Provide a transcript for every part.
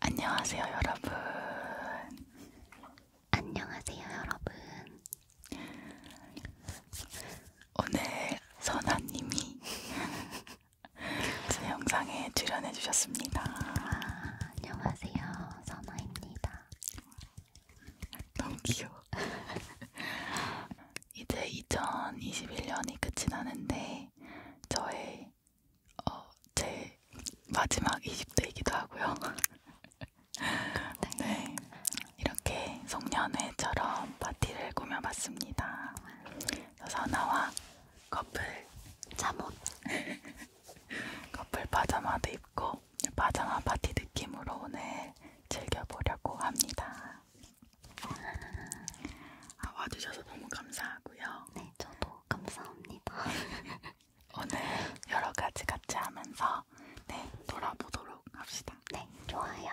안녕하세요, 여러분. 안녕하세요, 여러분. 오늘 선아님이 제 영상에 출연해 주셨습니다. 아, 안녕하세요, 선아입니다. 너무 귀여워. 이제 2021년이 끝이 나는데 저의 어, 제 마지막 20대이기도 하고요. 네, 이렇게 송년회처럼 파티를 꾸며봤습니다. 선아와 커플 잠옷, 커플 파자마도 입고 파자마 파티 느낌으로 오늘 즐겨보려고 합니다. 아, 와주셔서 너무 감사하고요. 네, 저도 감사합니다. 오늘 여러 가지 같이 하면서 네 돌아보도록 합시다. 네, 좋아요.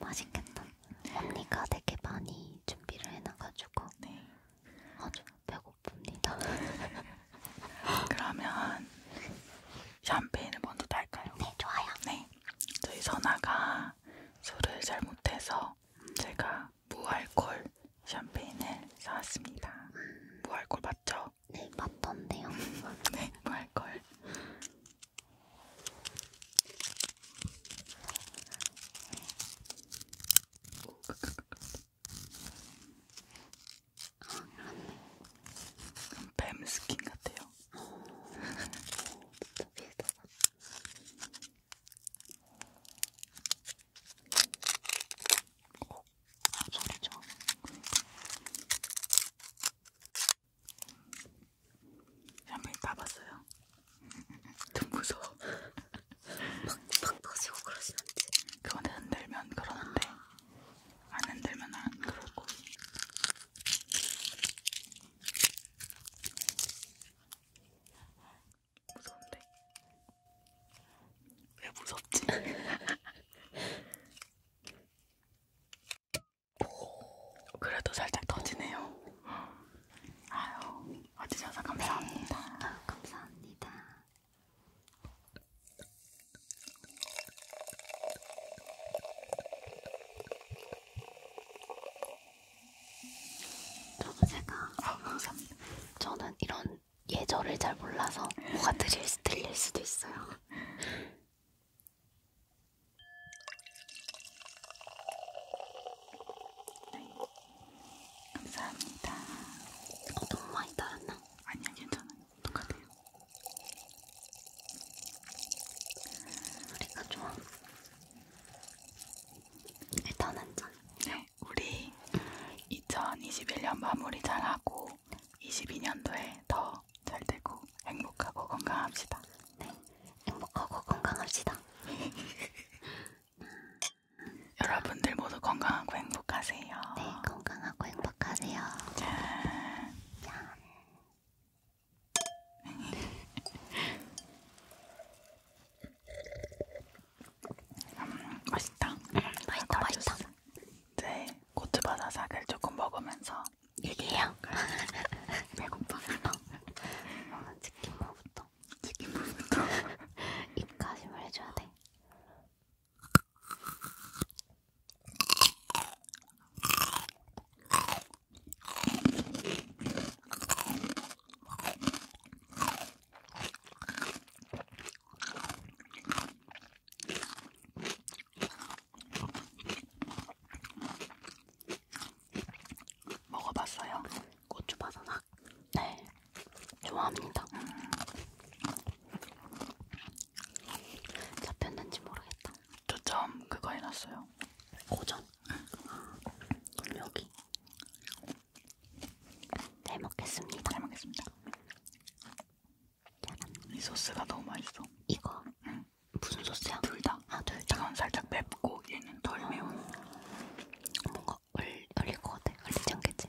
맛있겠다. 언니가 되게 많이 준비를 해놔가지고 네. 아주 배고픕니다. 그러면 샴페인을 먼저 딸까요? 네, 좋아요. 네, 저희 선아가 술을 잘 못해서 제가 무알콜 샴페인을 사왔습니다. 음. 무알콜 맞죠? 네, 맞던데요. 네, 말걸. 아, 그렇네. 뱀 스킨 같아요. 어, 진짜 비슷하다. 어, 소리죠. 한번 봐봤어요. 좀 무서워. 팍팍 터지고 그러진 않지. 그건 흔들면 그러는데 안 흔들면 안 그러고. 무서운데? 왜 무섭지? 그래도 살짝 터지네요. 아유, 와주셔서 감사합니다. 네, 감사합니다. 저도 제가 아, 감사합니다. 저는 이런 예절을 잘 몰라서 뭐가 들릴, 들릴 수도 있어요. 네. 감사합니다. 어, 너무 많이 달았나? 아니요, 괜찮아요. 똑같아요. 우리가 좋아. 일단 한 잔. 네, 우리 2021년 마무리 잘하고 22년도에 더 더잘 되고 행복하고 건강합시다. 네, 행복하고 건강합시다. 여러분들 모두 건강하고 행복하세요. 네, 건강하고 행복하세요. 짠. 짠. 음, 맛있다. 음, 맛있다, 맛있다. 이제 고추바사삭을 조금 먹으면서 얘기해요. 배고파. 어, 치킨무부터. 치킨무부터. 입가심을 해줘야 돼. 먹어봤어요? 고추 바사삭? 네, 좋아합니다. 음. 잡혔는지 모르겠다. 초점 그거 해놨어요. 고점? 그럼 여기. 잘 먹겠습니다. 잘 먹겠습니다. 이 소스가 너무 맛있어. 이거? 응. 무슨 소스야? 둘 다. 아, 둘 다. 이건 살짝 맵고 얘는 덜 어. 매운. 뭔가 얼, 얼릴 것 같아. 얼리지 않겠지?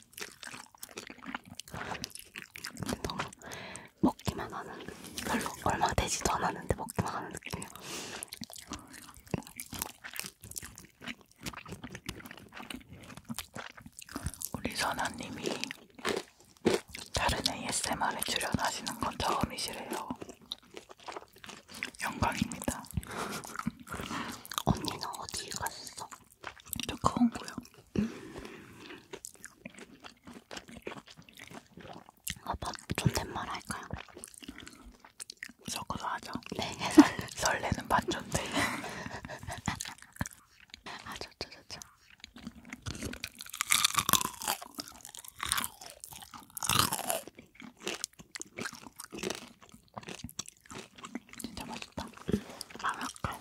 너무 뭐 먹기만 하는 별로 얼마 되지도 않았는데 먹기만 하는 느낌이야. 우리 선아님이 다른 ASMR에 출연하시는 건 처음이시래요. 영광입니다. 언니는 어디 갔어? 더커운 거요. 아빠 존댓말 할까요? 섞어서 하죠. 네. 설레는 반 존댓. 아 좋죠 좋죠. 진짜 맛있다. 음. 마라카.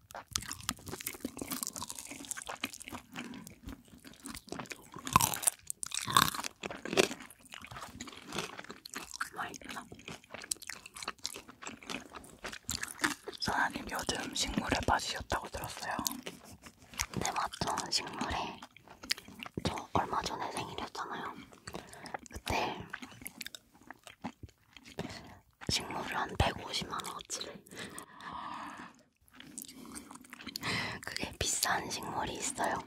맛있어. 사장님 요즘 식물에 빠지셨다고 들었어요. 네 맞죠 식물에 저 얼마 전에 생일이었잖아요. 그때 식물을 한 150만 원어치를 그게 비싼 식물이 있어요.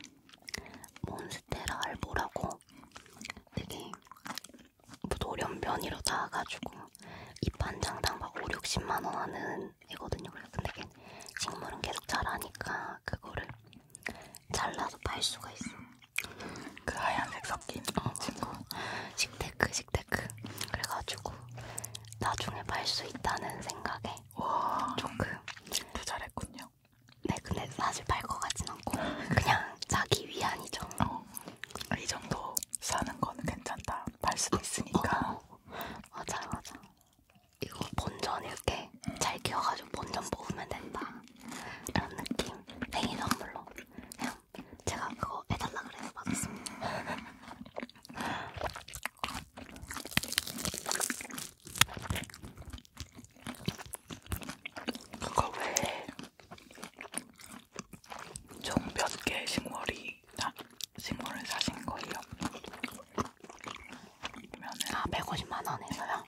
몬스테라 알보라고 되게 노련변이로 나와가지고 잎한 장당 막 5, 60만원 하는 애거든요. 그래서 근데 식물은 계속 자라니까 그거를 잘라서 팔 수가 있어. 그 하얀색 섞인 어, 친구. 식테크, 식테크. 그래가지고 나중에 팔 수 있다는 생각에 와, 조금 부잘했군요. 네, 근데 사실 팔 것 같진 않고 그냥 자기 위안이죠. 어, 이 정도 사는 거는 괜찮다. 팔 수도 있으니까. 어, 어. 맞아, 맞아. 이거 본전 이렇게 잘 키워가지고 본전 뽑으면 된다. 이런 느낌. 생일 네, 선물로 그냥 제가 그거 해달라 그래서 받았습니다. 그거 왜 총몇 개의 식물이 다 식물을 사신 거예요? 아 150만 원에서요?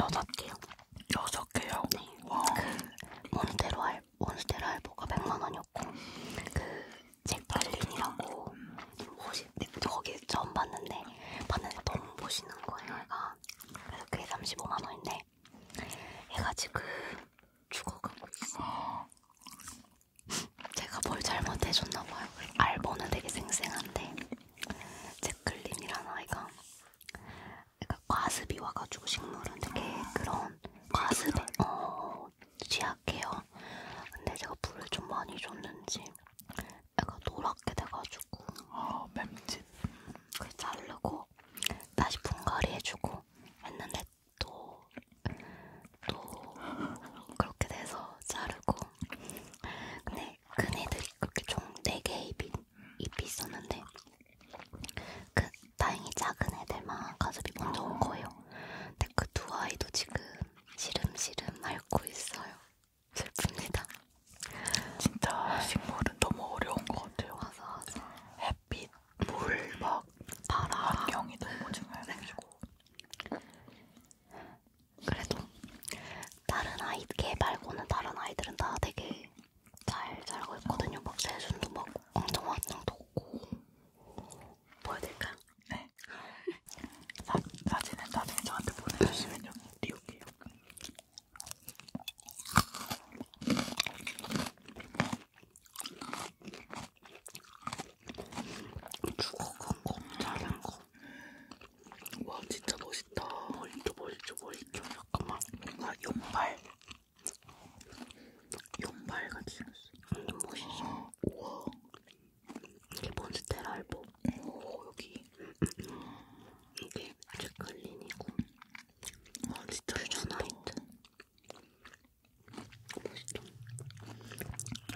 여섯 개요. 여섯 개요. 네. 와. 그 몬스테로 알 몬스테로 알보가 100만 원이었고 그 잭클린이라고 혹시 네, 거기 처음 봤는데 봤는데 너무 멋있는 거예요. 얘가 그래서 그게 35만 원인데 얘가 지금 죽어가고 있어. 제가 뭘 잘못해줬나 봐요. 알보는 되게 생생한데 잭클린이라는 아이가 그러니까 과습이 와가지고 식물은 되게 그런 과습에 어, 취약해요. 근데 제가 물을 좀 많이 줬는지 애가 노랗게 돼가지고 아 맴짓 그걸 자르고 다시 분갈이 해주고 했는데 또또 또 그렇게 돼서 자르고 근데 큰 애들이 그렇게 총 4개의 잎이, 잎이 있었는데 그 다행히 작은 애들만 가습이 먼저 온 거예요. 근데 그 두 아이도 지금 시름시름 앓고 있어요. 슬픕니다. 진짜 식물은 너무 어려운 것 같아요. 맞아, 맞아. 햇빛, 물, 막 바람, 환경이 너무 중요해가지고. 그래도 다른 아이 걔 말고는 다른 아이들은 다 되게 잘 자라고 있거든요. 막 세순도 막 엄청 왕창 돋고 보여드릴까요? 네. 사, 사진은 나중에 저한테 보내주시면 여기 띄울게요. 죽어간 거, 자란 거. 와 진짜 멋있다. 멋있죠, 멋있죠, 멋있죠. 잠깐만 뭔가 용발 용발같이 생겼어 완전 멋있어 우와 이게 몬스테라 알보 오 여기 이게 제클린이고 와 아, 진짜 슈퍼나이트 멋있죠?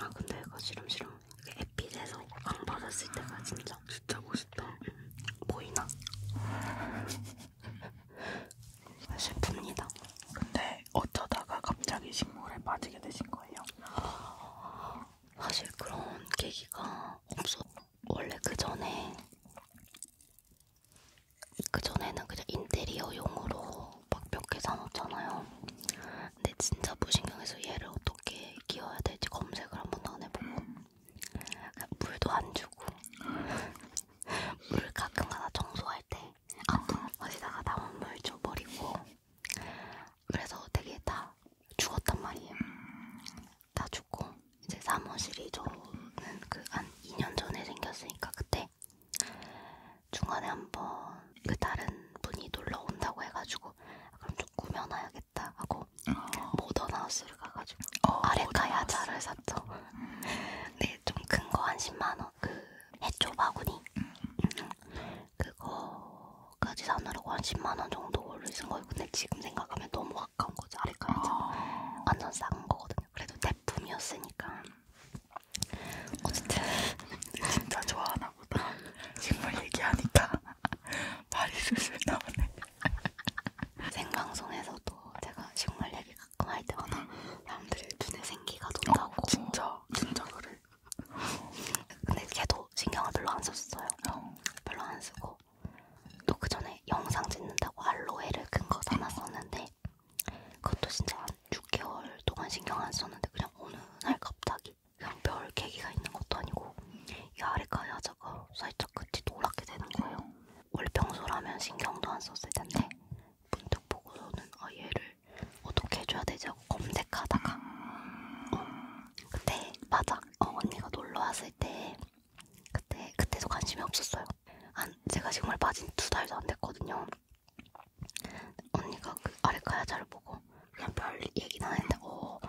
아 근데 이거 시름시름 에핏에서 안 받았을 때가 진짜 진짜 멋있다 음, 보이나? 슬픕니다. 근데 어쩌다가 갑자기 식물에 빠지게 되신 거예요? 사실 그런 계기가 없어. 원래 그 전에 그 전에는 그냥 인테리어용으로 막 몇 개 사놓잖아요. 근데 진짜 무신경해서 얘를 어떻게 키워야 될지 검색을 한 번도 안 해보고 음. 물도 안 주고 물 가끔가다 청소할 때 아, 어디다가 남은 물 줘버리고 그래서 되게 다 죽었단 말이에요. 음. 다 죽고 이제 사무실이 저는 그 한 2년 전에 생겼으니까 그때 중간에 한번 그 다른 분이 놀러 온다고 해가지고 아, 그럼 좀 꾸며놔야겠다 하고 어. 모던하우스를 가가지고 어, 아레카 야자를 샀죠. 음. 근데 좀 큰 거 한 10만원 그 해초 바구니 음. 그거까지 사느라고 한 10만원 정도 올리신 거예요. 근데 지금 생각하면 너무 아까운 거죠. 아레카 야자 어. 완전 싼 거거든요. 그래도 대품이었으니까. 어쨌든 진짜 좋아하나 보다. 식물 얘기하니까 말이 술술 나오네. 생방송에서도 제가 식물 얘기 가끔 할 때마다 사람들이 눈에 생기가 돈다고 어, 진짜 진짜 그래 근데 걔도 신경을 별로 안 썼어요 어. 별로 안 쓰고 또그 전에 영상 찍는다고 알로에를 큰거 담았었는데 그것도 진짜 한 6개월 동안 신경 안 썼는데 그냥 어느 날 갑자기 그냥 별 계기가 있는 것도 아니고 이 아래가 야자가 살짝 끝이 노랗게 되는 거예요 원래 평소라면 신경도 안 썼을 텐데 문득 보고서는 아 얘를 어떻게 해줘야 되지 하고 검색하다가 어, 그때 맞아 어, 언니가 놀러 왔을 때 그때 그때도 관심이 없었어요. 한 제가 지금을 빠진 두 달도 안 됐거든요. 언니가 그 아레카야자를 보고 그냥 별 얘기는 안 했는데 어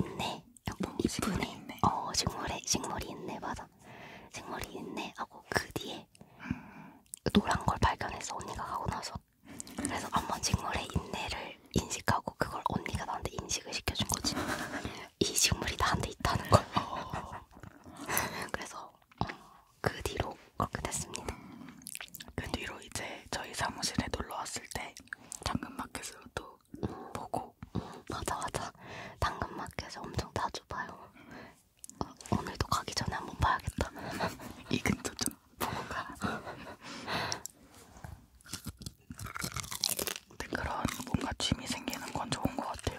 있네 약간 뭐, 식물이 있네. 어 식물에 식물이 있네 맞아. 식물이 있네 하고 그 뒤에 음. 노란 걸 발견해서 언니가 가고 나서 그래서 한번 식물에 있네를 인식하고 그걸 언니가 나한테 인식을 시켜준 거지. 이 식물이 나한테 있다는 걸. 어. 그래서 어, 그 뒤로 그렇게 됐습니다. 음. 그 뒤로 이제 저희 사무실에 놀러 왔을 때 당근마켓으로 또 음, 보고 음, 맞아 맞아 당근마켓에서 엄청 자주 봐요 어, 오늘도 가기 전에 한번 봐야겠다 이 근처 좀 보고 가 근데 그런 뭔가 취미 생기는 건 좋은 것 같아요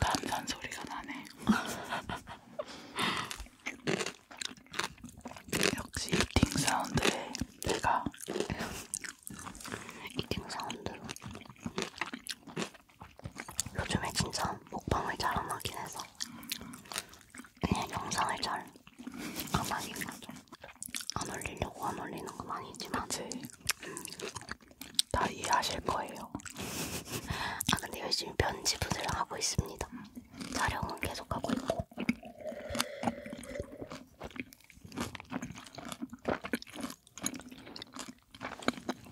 단단 소리가 나네. 역시 이팅 사운드에 내가 이팅 사운드로 요즘에 진짜 먹방을 잘 안 하긴 해서 그냥 영상을 잘 안 하긴 하죠. 안 올리려고 안 올리는 건 아니지만. 그치. 음. 다 이해하실 거예요. 아 근데 열심히 편집을 하고 있습니다. 촬영은 계속 하고 있고.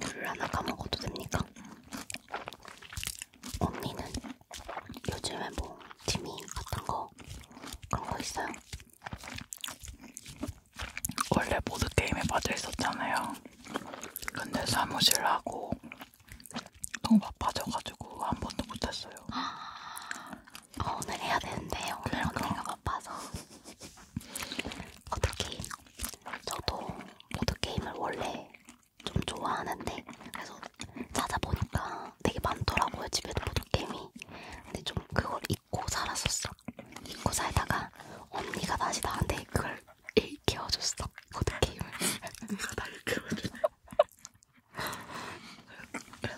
물 하나 까먹어도 됩니까? 언니는 요즘에 뭐 취미 같은 거 그런 거 있어요? 원래 보드게임에 빠져 있었잖아요. 근데 사무실 하고 너무 바빠져가지고 한 번도 못했어요. 어, 오늘 해야 되는데 오늘 그러니까. 언니가 바빠서 어떻게 저도 모드 게임을 원래 좀 좋아하는데 그래서 찾아보니까 되게 많더라고요 집에도 모드 게임이. 근데 좀 그걸 잊고 살았었어. 잊고 살다가 언니가 다시 나한테 그걸 일 키워줬어 보드게임을 누가 날 키워주네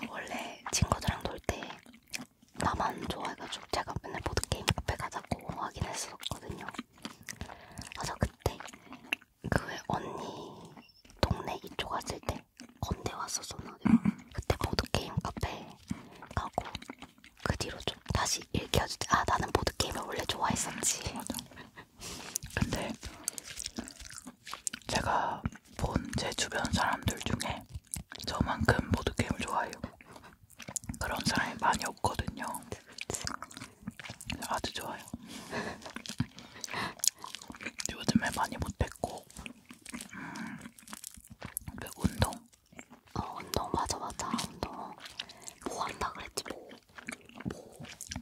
원래 친구들이랑 놀 때 나만 좋아해가지고 제가 맨날 보드게임 카페 가자고 하긴 했었거든요 맞아 그때 그왜 언니 동네 이쪽 왔을 때 건대 왔었었나 그때 보드게임 카페 가고 그 뒤로 좀 다시 일깨워주지. 아 나는 보드 게임을 원래 좋아했었지. 음, 맞아. 근데 제가 본 제 주변 사람들 중에 저만큼 보드 게임을 좋아해요. 그런 사람이 많이 없거든요. 아주 좋아요. 요즘에 많이 못했고 음, 그 운동 어 운동 맞아 맞아 운동 뭐 한다 그랬지 뭐, 뭐.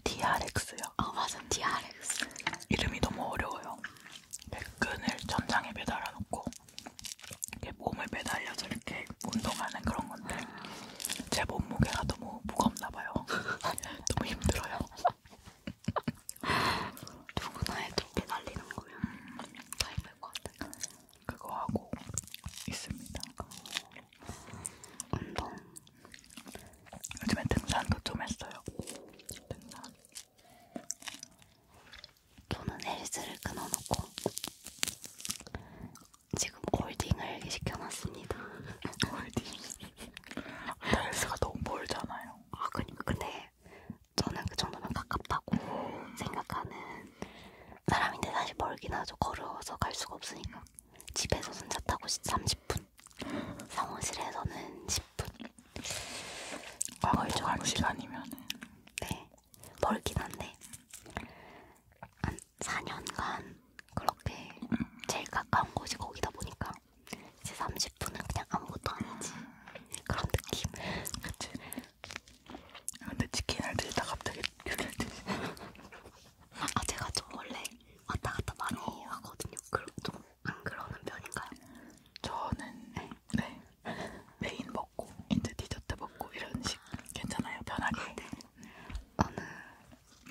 DRX요? 어 맞아 DRX 이름이 너무 어려워요 끈을 천장에 매달아 놓고 이렇게 몸을 매달려서 이렇게 운동하는 그런 건데 제 몸무게가 너무 무겁나 봐요 너무 힘들어요 누구나 해도 매달리는 거면 다 힘들 것 같아요 그거 하고 있습니다. 운동. 요즘에 등산도 좀 했어요. 등산. 저는 헬스를 끊어놓고 지금 홀딩을 시켜놨습니다. 홀딩. 헬스가 너무 멀잖아요. 아 그니까 근데 저는 그 정도면 가깝다고 음. 생각하는 사람인데 사실 멀긴 하죠. 걸어서 갈 수가 없으니까. 집에서는 차 타고 30분, 사무실에서는 10분. 걸걸죠. 아, 시간이면. 네, 멀긴 한데 한 4년간 그렇게 음. 제일 가까운 곳이 거기다 보니까 이제 30분은 그냥 아무것도 아니지. 그런 느낌. 그치. 근데 치킨을 들다 갑자기 아 제가 좀 원래 왔다 갔다 많이 어. 하거든요. 그럼 좀 안 그러는 편인가요? 저는 네. 네 메인 먹고 이제 디저트 먹고 이런 식 괜찮아요 편하게. 아, 네. 나는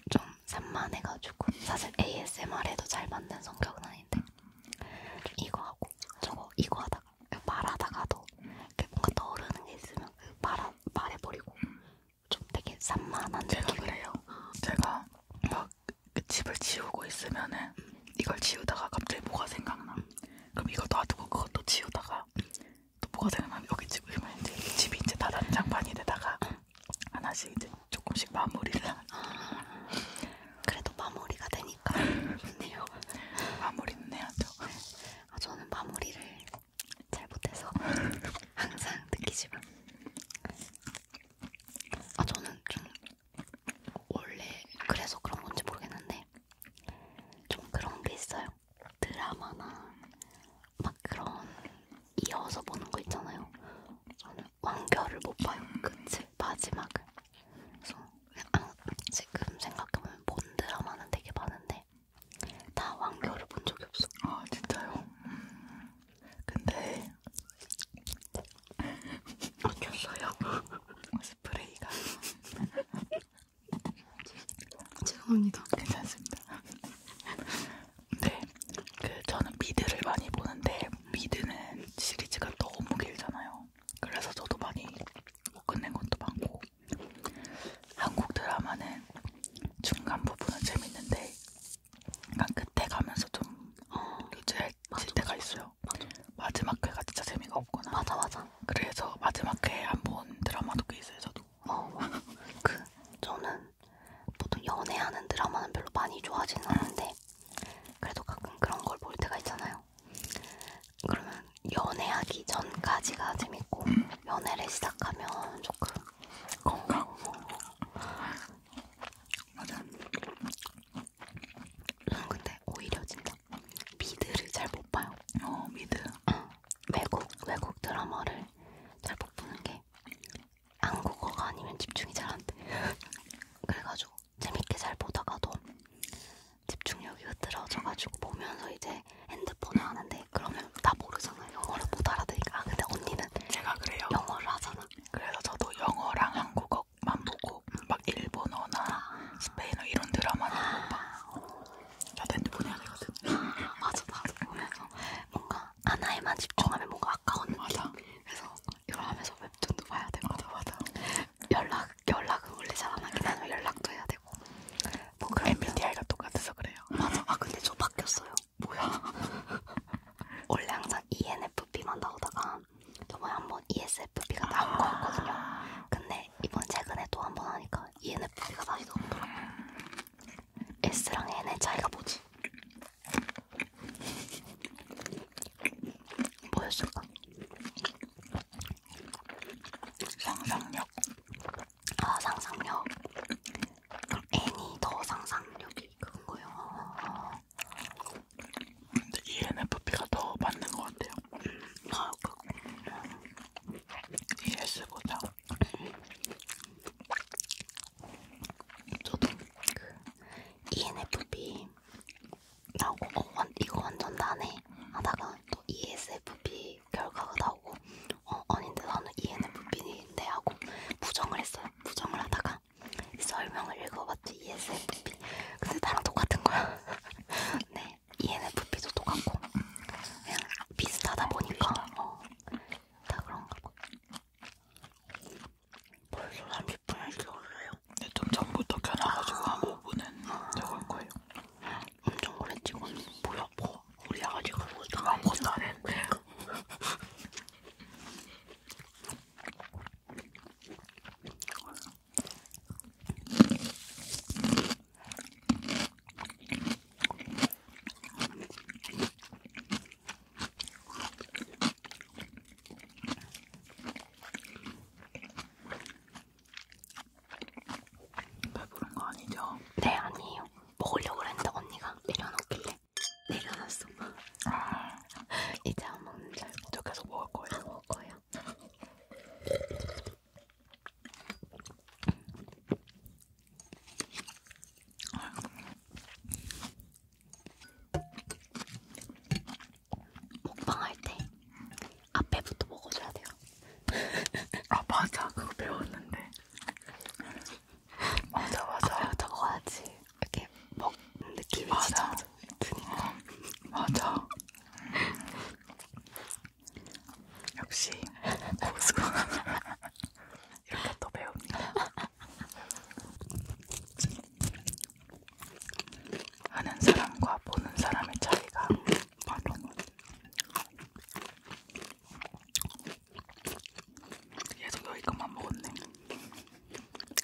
좀 산만해가지고 사실 ASMR에도 잘 맞는 성격은 아닌데 이거 하고 저거 이거 하다가 말하다가도 뭔가 떠오르는 게 있으면 그 말하 그냥 말해버리고 좀 되게 산만한 제가 느낌. 그래요. 제가 막그 집을 지우고 있으면은 음. 이걸 지우다가 갑자기 뭐가 생각나. 그럼 이거 놔두고 그것도 지우다가 또 뭐가 생각나면 여기 집을 이제 집이 이제 다 난장판이 되다가 음. 하나씩 이제 조금씩 마무리를 하는. 아, 그래도 마무리가 되니까 좋네요. 마무리는 해야죠. 아, 저는 마무리를 잘 못해서 항상 느끼지만 아 저는 좀 원래 그래서 그런 건지 모르겠는데 좀 그런 게 있어요. 드라마나 막 그런 이어서 보는 거 있잖아요. 저는 완결을 못 봐요. 그치 마지막을. 그래서 아, 지금 생각해보면 본 드라마는 되게 많은데 나 왕겨울을 본 적이 없어. 아 진짜요? 근데 어땠어요? 스프레이가 죄송합니다. 괜찮습니다. 네, 그 저는 미드를 많이 보는데 미드는 시리즈가 너무 길잖아요. 그래서 저도 많이 못 끝낸 것도 많고 한국 드라마는 중간 부분은 재밌는데 약간 끝에 가면서 좀 유지할 어, 때가 있어요. 맞아. 마지막 회가 진짜 재미가 없구나. 맞아 맞아. 그래서 마지막 회에 안본 드라마도 꽤 있어요 저도. 어, 그 저는 보통 연애하는 드라마는 별로 많이 좋아하지는 않는데 그래도 가끔 그런 걸 볼 때가 있잖아요. 그러면 연애하기 전까지가 재밌고 음. 연애를 시작하면 조금 건강 맞아 응, 근데 오히려 진짜 미드를 잘 못 봐요 어 미드 응. 외국 외국 드라마를 잘 못 보는 게 한국어가 아니면 집중이 잘 안돼 그래가지고 재밌게 잘 보다가도 집중력이 흐트러져가지고 보면서 이제 하는데 핸드폰을 하는데 그러면 다 모르잖아요. 영어를 못 알아들으니까. 아, 근데 언니는 제가 그래요. 영어를 하잖아. 그래서 저도 영어랑 한국어만 보고 막 일본어나 아. 스페인어 이런 드라마는 못 봐. 나도 핸드폰 해야 되거든. 아, 맞아 맞아. 보면서 뭔가 하나에만 집중하면 뭔가 아까운 느낌. 맞아. 그래서 이걸 하면서 웹툰도 봐야 되고. 맞아 맞아. 연락 연락은 원래 잘 안 하긴 하지만 연락도 해야 되고. 뭔가 MBTI가 똑같아서 그래요. 맞아. 아 근데 저 바뀌었어요. 뭐야? 원래 항상 ENFP만 나오다가 저번에 한 번 ESFP가 나온 거였거든요. 근데 이번 최근에 또 한 번 하니까 ENFP가 다시 나오더라고요. S랑 N의 차이가 뭐지? 뭐였을까? 상상력. 아 상상력 N이 더 상상력이 큰 거예요. 근데 ENFP가 더 맞는 것 같아요. 음, 아, 그, ES보다. 저도 그 ENFP 나고 아, 어, 어 이거 완전 나네 하다가 또 ESFP 결과가 나오고 어 아닌데 나는 ENFP인데 하고 부정을 했어요. 부정을 하다가 설명을 읽어봤지 ESFP. 근데 나랑 똑같은 거야. 네, ENFP도 똑같고 그냥 비슷하다 보니까 어, 다 그런가 봐. 벌써 30분을 찍었어요. 네, 좀 전부터 켜놔가지고 한 5분은 아. 적을 거예요. 엄청 그랬지 거는 뭐야 뭐 우리 아가씨가 무슨 아무것도 안 했는데 배부른 거 아니죠? 네 아니에요. 먹으려고 했는데 언니가 내려놓길래 내려놨어. 아. 이제 안 먹는 줄 알고. 저 계속 먹을 거예요. 안 먹을 거예요. 먹방할 때 앞에부터 먹어줘야 돼요. 아 맞아 그거 배웠는데. 맞아 맞아. 아, 적어야지. 이렇게 먹 느낌이 맞아. 진짜 드니까. 맞아. 역시 고수. 이렇게 또 배웁니다. 하는 사람과 보는 사람의 차이가 바로 계속 여기까만 먹었네.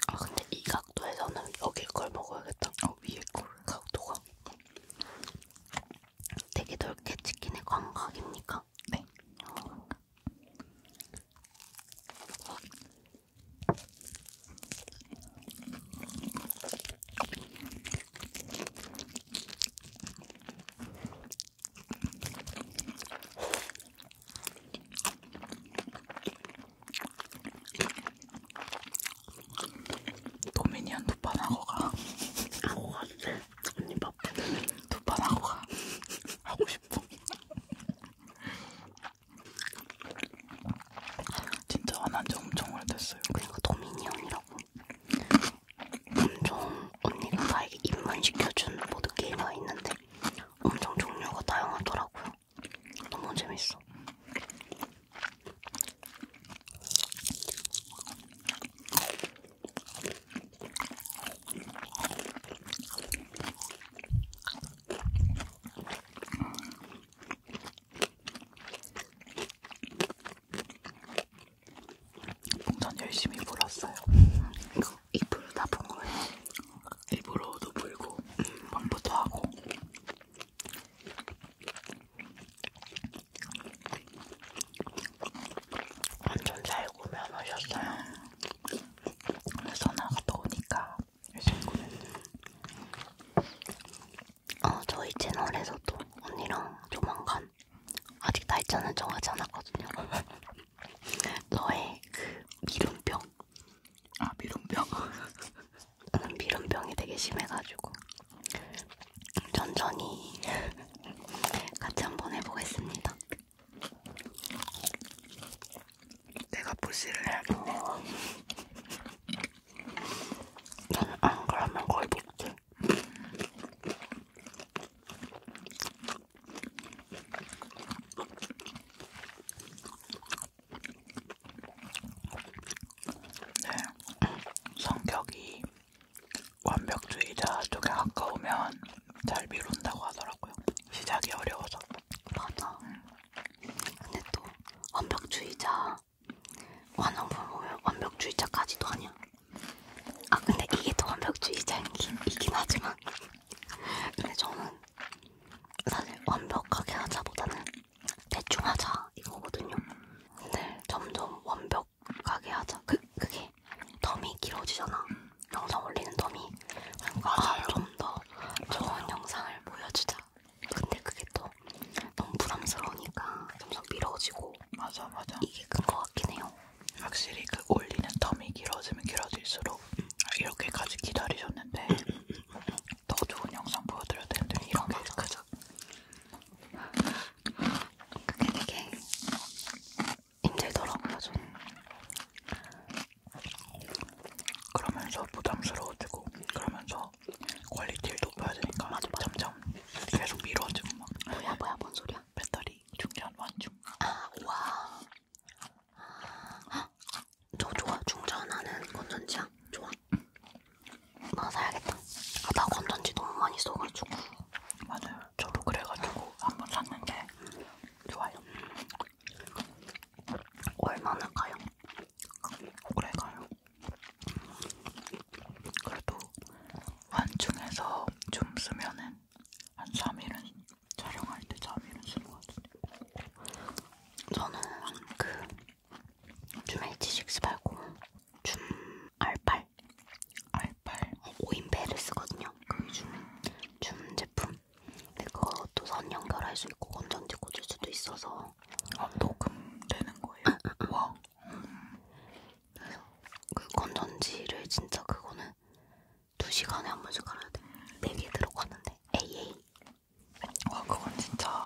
아 근데 이 각도에서는 여기 걸 먹어야겠다. 어 위에 걸 각도가 되게 넓게 치킨의 광각입니까? 네. 어. 도미니언 두판 하고 가. 하고 가도 돼. 언니 바쁘 두판 하고 가. 하고 싶어. 진짜 안한지 엄청 오래됐어요. 그리고 도미니언이라고 엄청 언니가 나에게 입문시켜준 보드게임이 있는데 엄청 종류가 다양하더라고요. 너무 재밌어. 풍선 열심히 불었어요. 이거 입으로 다본 거예요. 입으로도 불고 방부터 하고. 완전 잘 구매하셨어요. 그래서 나갔다 오니까 열심히 구매했어요. 어, 저희 채널에서도 언니랑 조만간 아직 날짜는 정하지 않았거든요. 너의 그 미름병. 아 미름병. 나는 미름병이 되게 심해가지고 천천히 같이 한번 해보겠습니다. 내가 부시를 해야겠네. 나는 안 그러면 거의 못해. 네. 성격이 완벽주의자 쪽에 가까우면 잘 미룬다고 하더라고요. 시작이 어려워서. 맞아. 응. 근데 또 완벽주의자 완벽주의자까지도 아니야. 아 근데 이게 더 완벽주의자이긴 하지만 근데 저는 사실 완벽하게 하자보다는 대충 하자 이거거든요. 근데 점점 완벽하게 하자 그 그게 덤이 길어지잖아. 영상 올리는 덤이 그러니까 아, 좀더 좋은 영상을 보여주자. 근데 그게 또 너무 부담스러우니까 점점 미뤄지고 맞아 맞아 이게 큰거 같긴 해요. 확실히 그 올리는 텀이 길어지면 길어질수록 이렇게까지 기다리셨는데 더 좋은 영상 보여드려야 되는데 이런 게 그죠? 그게 되게 힘들더라고요 저는 그러면서 부담스러워지고 그러면서 퀄리티를 높여야 되니까 맞아, 맞아. 점점 계속 미뤄지고 막 뭐야 뭐야 뭔 소리야? 배터리 중전 완중. 아, 와. 아, 저 좋아. 중전하는 건전지야. 아, 좋아. 나 사야겠다. 아, 나 건전지 너무 많이 써가지고. 맞아요. 저도 그래가지고 한번 샀는데 좋아요. 얼마나 가요? 오래 가요. 그래도 완충해서 좀 쓰면은 한 3일은 촬영할 때 3일은 쓰는 것 같은데 저는 그 줌 H6 말고 줌 R8 R8 어, 5인배를 쓰거든요 그게 줌, 줌 제품 근데 그것도 선 연결할 수 있고 건전지 꽂을 수도 있어서 아 녹음되는 거예요? 와 음. 그 건전지를 진짜 그거는 2시간에 한 번씩 갈아야 돼. 4개 들어가는데. AA. 와, 그건 진짜.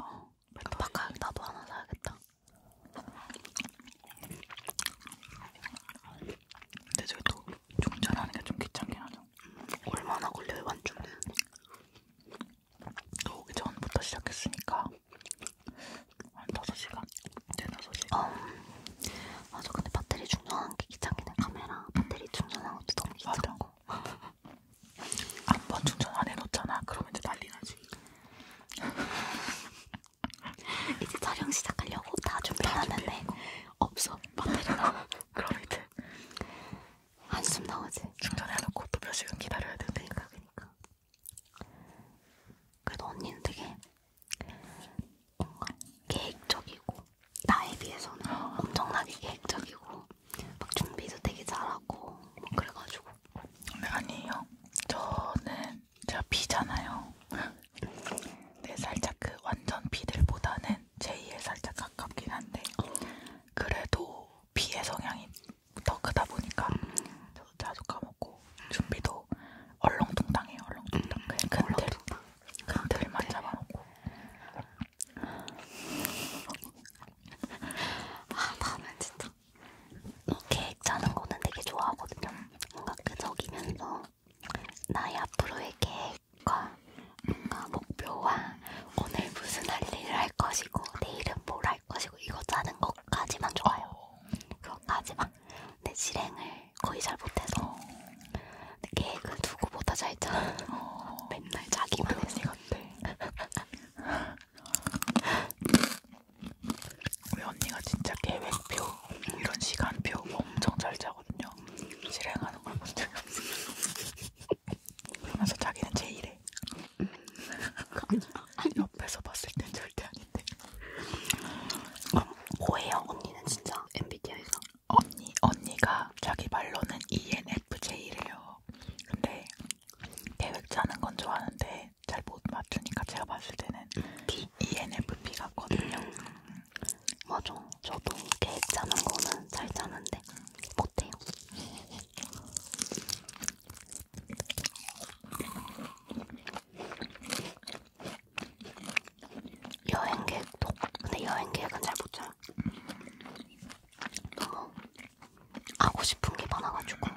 깜빡하 나도 하나 사야겠다. 근데 저기 또 충전하는 게 좀 귀찮긴 하죠. 얼마나 걸려요, 완충은? 또 오기 전부터 시작했으니까 한 5시간? 네 5시간 어. 맞아 근데 배터리 충전하는 게 귀찮긴 해 카메라 배터리 충전하는 것도 너무 귀찮고 한번 아, 뭐 충전 안 해놓잖아 그러면 이제 난리 나지 이제 촬영 시작하려고 다 준비하는데 없어 배터리가 그럼 이제 한숨 나오지 충전해놓고 또 몇 시간 기다려야 되니까 그러니까, 그러니까. 그래도 언니는 되게 뭔가 계획적이고 나에 비해서는 엄청나게 계획적이고 막 준비도 되게 잘하고 뭐 그래가지고 네, 아니에요. 저는 제가 B잖아요. 네, 살짝 그 완전 B들보다는 J에 살짝 가깝긴 한데 그래도 B의 성향이 더 크다 보니까 저도 자주 까먹고 준비도 얼렁뚱땅이에요. 얼렁뚱땅. 음, 근들, 근들만 잡아놓고. 아 나는 진짜 계획 짜는 거는 되게 좋아하거든요. 뭔가 끄적이면서 그 나의 앞으로의 계획과 뭔가 목표와 오늘 무슨 할 일을 할 것이고 내일은 뭘 할 것이고 이거 짜는 것까지만 좋아요. 어. 그것까지만 내 실행을 거의 잘 못해서 근데 계획을 누구보다 잘 짜. 어, 맨날 자기만 했었대. 우리 언니가 진짜 계획표 이런 시간표 엄청 잘 짜거든요. 실행하는 걸본 적이 없어요. 그러면서 자기는 제일해. 음. 옆에서 봤을 땐 절대 아니야. 어, 고해요 언니는 진짜 MBTI에서 언니 언니가 자기 말로는 ENFJ래요. 근데 계획 짜는 건 좋아하는데 잘 못 맞추니까 제가 봤을 때는 e P? ENFP 같거든요. 음. 맞아. 저도 계획 짜는 거는 잘 짜는데 못해요. 여행 계획도 근데 여행 계획은 잘못 짜요. 너무 하고 싶은 게 많아가지고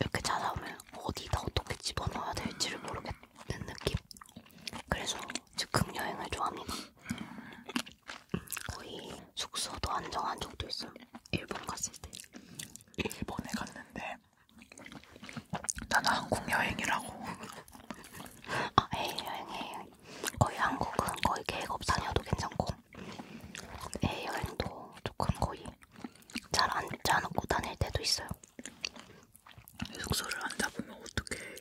이렇게 찾아오면 어디다 어떻게 집어넣어야 될지를 모르겠는 느낌. 그래서 즉흥 여행을 좋아합니다. 거의 숙소도 안 정한 적도 있어요. 일본 갔을 때. 일본에 갔는데 나는 한국 여행이라고. 아, 해외 여행, 해외 여행. 거의 한국은 거의 계획 없이 다녀도 괜찮고, 해외 여행도 조금 거의 잘안 짜놓고 다닐 때도 있어요. 숙소를 안 잡으면 어떡해.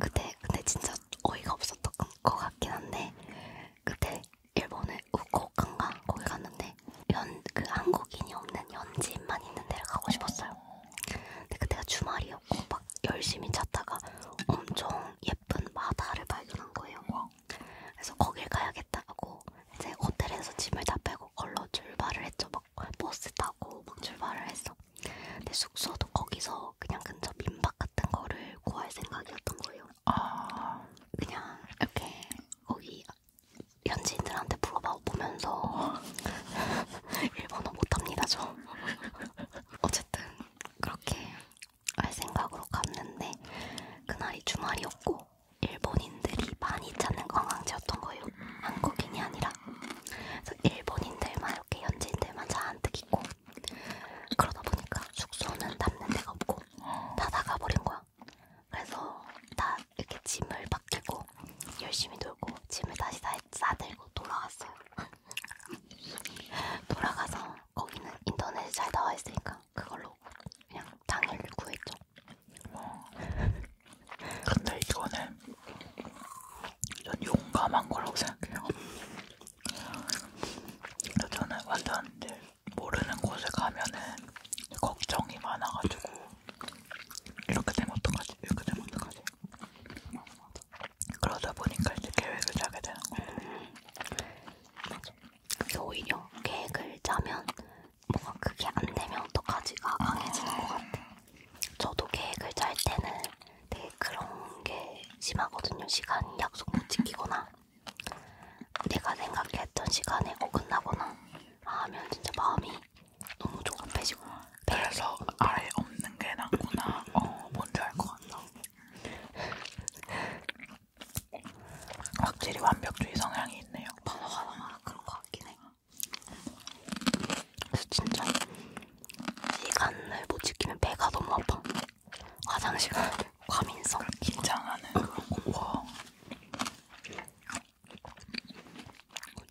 그때, 근데 진짜 어이가 없었던 것 같긴 한데, 그때 일본에 우코오카인가 거기 갔는데, 연, 그 한국인이 없는 연지인만 있는 데를 가고 싶었어요. 근데 그때가 주말이었고 막 열심히 찾다가 엄청 예쁜 바다를 발견한 거예요. 그래서 거길 가야겠다 하고 이제 호텔에서 짐을 다 빼고 걸러 출발을 했죠. 막 버스 타고 막 출발을 했어. 근데 숙소도 거기서 그냥 근처 민박 같은 거를 구할 생각이었던 거예요. 아... 그냥 이렇게 거기 현지인들한테 물어보면서 일본어 못합니다 저. 어쨌든 그렇게 할 생각으로 갔는데 그날이 주말이었고 일본인들이 많이 찾는 관광지였던 거예요. 한국인이 아니라. 그래서 일본인들만 이렇게 현지인들만 잔뜩 있고 그러다 보니까 숙소는 남는 데가 없고 다 나가버린 거야. 그래서 다 이렇게 짐을 맡기고 열심히 놀고 짐을 다시 다 싸들고 돌아갔어요. 돌아가서 거기는 인터넷에 잘 나와 있으니까 그걸로 그냥 당일을 구했죠. 어. 근데 이거는 전 용감한 거라고 생각해요. 저는 완전 모르는 곳에 가면은 걱정이 많아가지고 이렇게 되면 어떡하지? 이렇게 되면 어떡하지? 그러다 보니까 이제 계획을 짜게 되는 거예요. 맞아. 그게 오히려 계획을 짜면 뭔가 그게 안 되면 어떡하지가 강해지는 것 같아. 저도 계획을 짤 때는 되게 그런 게 심하거든요. 시간 약속 못 지키거나 내가 생각했던 시간에 어긋나거나 뭐 아, 하면 진짜 마음이 너무 조급해지고 그래서 아래 없는 게 낫구나 어 뭔지 알 것 같다 확실히 완벽주의 성향이 있네요 바다가 나만 그런 것 같긴 해 그래서 진짜 시간을 못 지키면 배가 너무 아파 화장실 가야 돼 과민성 그러니까 긴장하는 그런 거와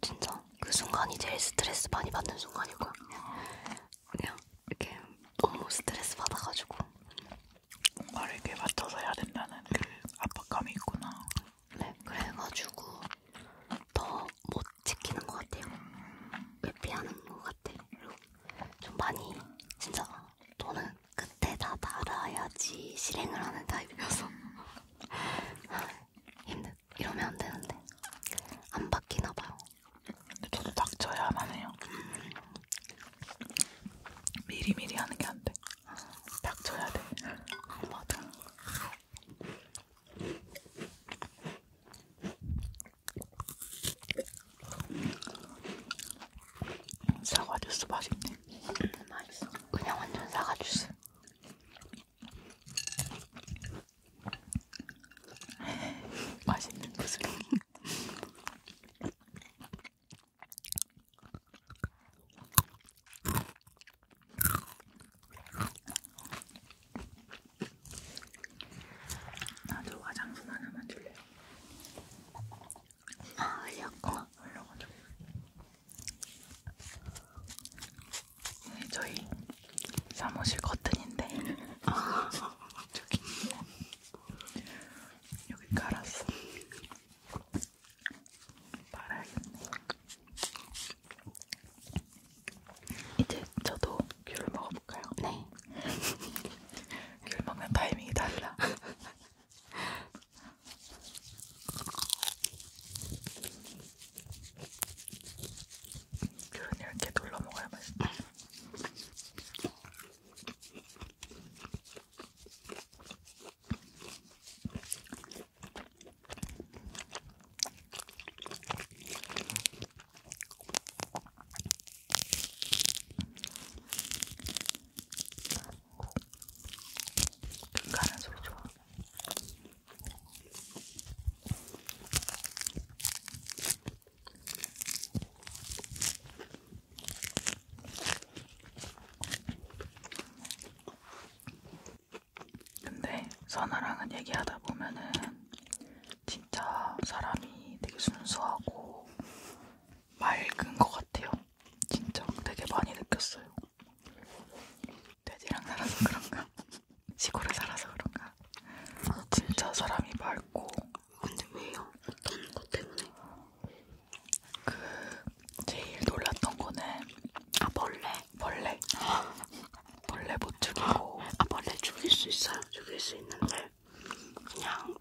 진짜 그 순간이 제일 스트레스 많이 받는 순간이고 그냥 이렇게 너무 스트레스 받아가지고 말에게 맞춰서 해야 된다는 그 압박감이 있구나. 네, 그래가지고 더 못 지키는 것 같아요. 회피하는 것 같아. 그리고 좀 많이 진짜 돈은 끝에 다 달아야지 실행을 하는 타입이어서 아, 힘든. 이러면 안 되는데 안 바뀌나 봐요. 저도 닥쳐야만 해요. 음. 미리 미리 하는 게 안 돼. 아. 닥쳐야 돼. 아, 맞아. 사과 주스 맛있네. 음, 맛있어. 그냥 완전 사과 주스. 맛있는 구슬. 나도 화장솜 하나만 줄래요. 아 흘렸구나. 흘려가지고. 저희 사무실 커튼인데 아, 저기 여기 깔았어. 말아야겠네. 이제 저도 귤을 먹어볼까요? 네. 귤 먹는 타이밍이 달라. 그러니 이렇게 눌러 먹어야 맛있다. 가는 소리 좋아. 근데 선아랑은 얘기하다 보면은 진짜 사람이 되게 순수하고 맑은 것 같아요. 진짜 되게 많이 느꼈어요. 돼지랑 살아서 그런가? 시골에 살아서 그런가? 아, 진짜 근데... 사람이 맑고 근데 왜요? 어떤 것 때문에? 그 제일 놀랐던 거는 아 벌레 벌레 벌레 못 죽이고 아 벌레 죽일 수 있어요? 죽일 수 있는데 그냥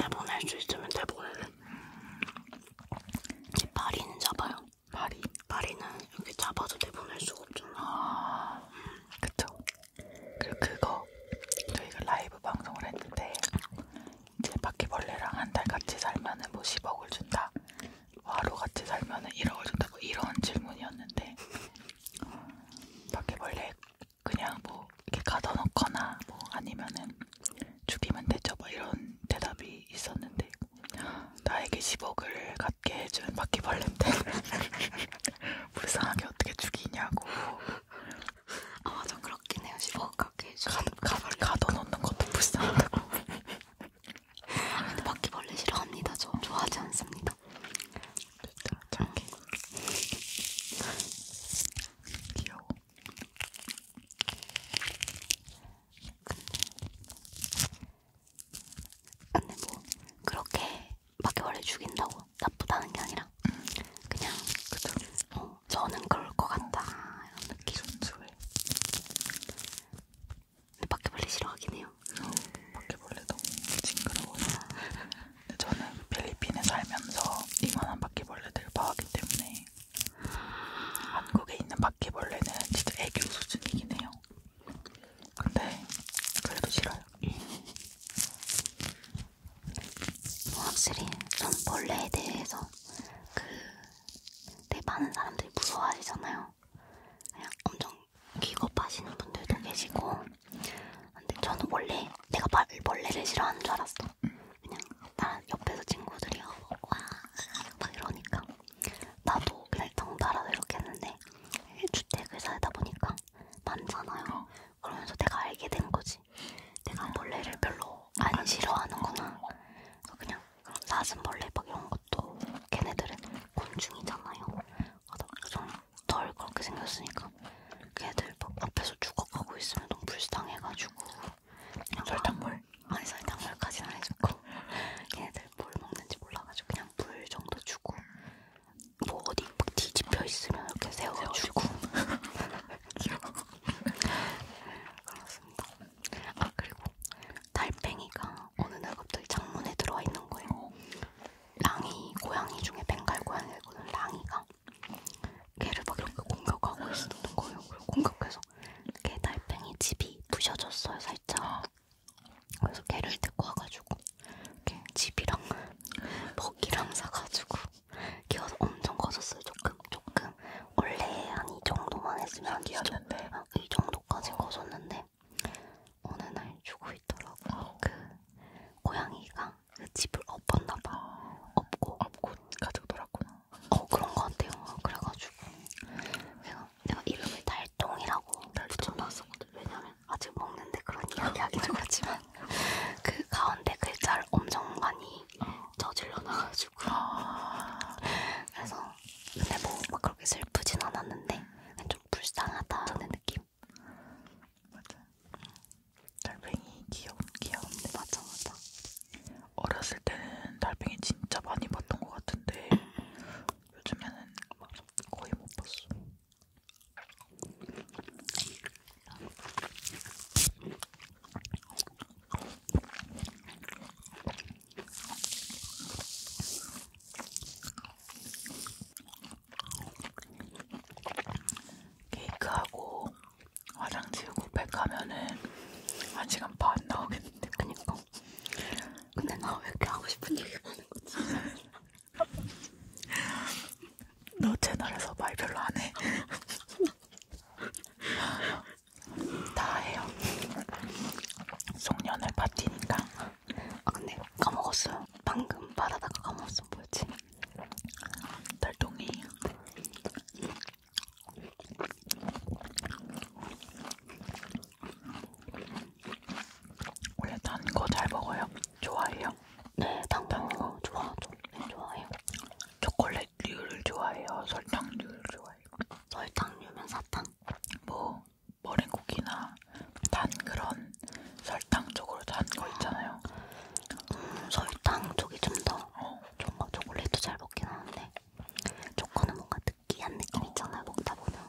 내보낼 수 있으면 내보내는 음. 제 파리는 잡아요 마리? 마리는 이렇게 잡아서 내보낼 수가 없잖아. 아, 음. 그쵸. 그리고 그거 저희가 라이브 방송을 했는데 이제 바퀴벌레랑 한 달 같이 살면은 뭐 10억을 준다. 하루 같이 살면은 1억을 준다. 뭐 이런 질문이었는데 바퀴벌레 그냥 뭐 이렇게 가둬놓거나 뭐 아니면은 죽이면 되죠. 뭐 이런 대답이 있었는데 나에게 10억을 갖게 해준 바퀴벌레인데 불쌍하게 어떻게 죽이냐고 아 맞아 그렇긴 해요 10억 갖게 해준 가벌 가둬놓는 것도 불쌍하다고 아, 근데 바퀴벌레 싫어합니다 저 좋아하지 않습니다 됐다 잠깐 귀여워 근데 근데 뭐 그렇게 막 원래 죽인다고 나쁘다는 게 아니라 음. 그냥 그쵸. 어, 저는 그럴 것 같다 이런 느낌 그쵸. 근데 바퀴벌레 싫어하긴 해요 어, 바퀴벌레 너무 징그러워요 근데 저는 필리핀에 살면서 이만한 바퀴벌레들을 봐왔기 때문에 한국에 있는 바퀴벌레는 진짜 애교 수준이긴 해요. 근데 그래도 싫어요. 확실히 전 벌레에 대해서 그 되게 네, 많은 사람들이 무서워하시잖아요. 그냥 엄청 기겁하시는 분들도 계시고 근데 저는 원래 내가 벌레를 싫어하는 줄 알았어. 그냥 나 옆에서 친구들이 어, 와막 이러니까 나도 그냥 덩달아서 이렇게 했는데 주택을 살다 보니까 많잖아요. 어. 그러면서 내가 알게 된 거지. 내가 벌레를 별로 안, 안 아, 싫어하는구나. 그래서 그냥 그럼 사슴벌레 막 이런 것도 걔네들은 곤충이잖아요. 좀덜 그렇게 생겼으니까 걔들 막 앞에서 죽어가고 있으면 너무 불쌍해가지고 설탕물 아니 설탕물까지는 안 해줬고 걔네들 다들 뭘 먹는지 몰라가지고 그냥 물 정도 주고 뭐 어디 막 뒤집혀 있으면 이렇게 세워주고 그렇습니다. 아 그리고 달팽이가 어느 날 갑자기 창문에 들어와 있는 거예요. 랑이 고양이 중에 벵갈 고양이거든 랑이가 걔를 막 이렇게 공격하고 있었던 거예요. 그리고 공격해서 걔 달팽이 집이 부셔졌어요 살짝. 아. 그래서 개를 데리고 와가지고 이렇게 집이랑 먹이랑 사가지고 키워서 엄청 커졌어요. 조금 조금 원래 한이 정도만 했으면 한이 정도까지 커졌는데 어느 날 죽고 있더라고요. 아. 그 고양이가 그 집을 엎었나 봐. 아. 엎고 엎고 가지고 놀았구나. 어 그런 것 같아요. 그래가지고 내가 내가 이름을 달동이라고 붙여놨었거든. 왜냐면 아직 먹는데 그런 이야기하기 좀 아, 그렇지만 그 가운데 글자를 엄청 많이 어. 저질러놔가지고 아. 그래서 근데 뭐막 그렇게 슬프진 않았는데 그냥 좀 불쌍하다는 느낌. 맞아. 달팽이 귀엽 귀여운데 맞아 맞아. 어렸을 때는 달팽이 진짜 많이 봤던 것 같은데 음. 요즘에는 거의 못 봤어. 케이크하고 화장 지우고 백 가면은 한 시간 반 나오겠는데 그니까 근데 나 왜 이렇게 하고 싶은 얘기 많은 거지? 너 채널에서 말 별로 안 해. 다 해요. 송년을 파티니까. 아 근데 까먹었어요. 방금 말하다가 까먹었어. 뭐였지? 달동이. 원래 단 거 잘 먹어요? 좋아해요? 네, 단거 좋아하죠. 네, 좋아해요. 초콜릿류를 좋아해요? 설탕류를 좋아해요? 설탕류면 사탕? 뭐 머랭쿠키나 단 그런 설탕 쪽으로 단 거 있잖아요. 음, 설탕 쪽이 좀 더. 어. 좀막 초콜릿도 잘 먹긴 하는데 초코는 뭔가 특 느끼한 느낌 있잖아요 먹다 보면.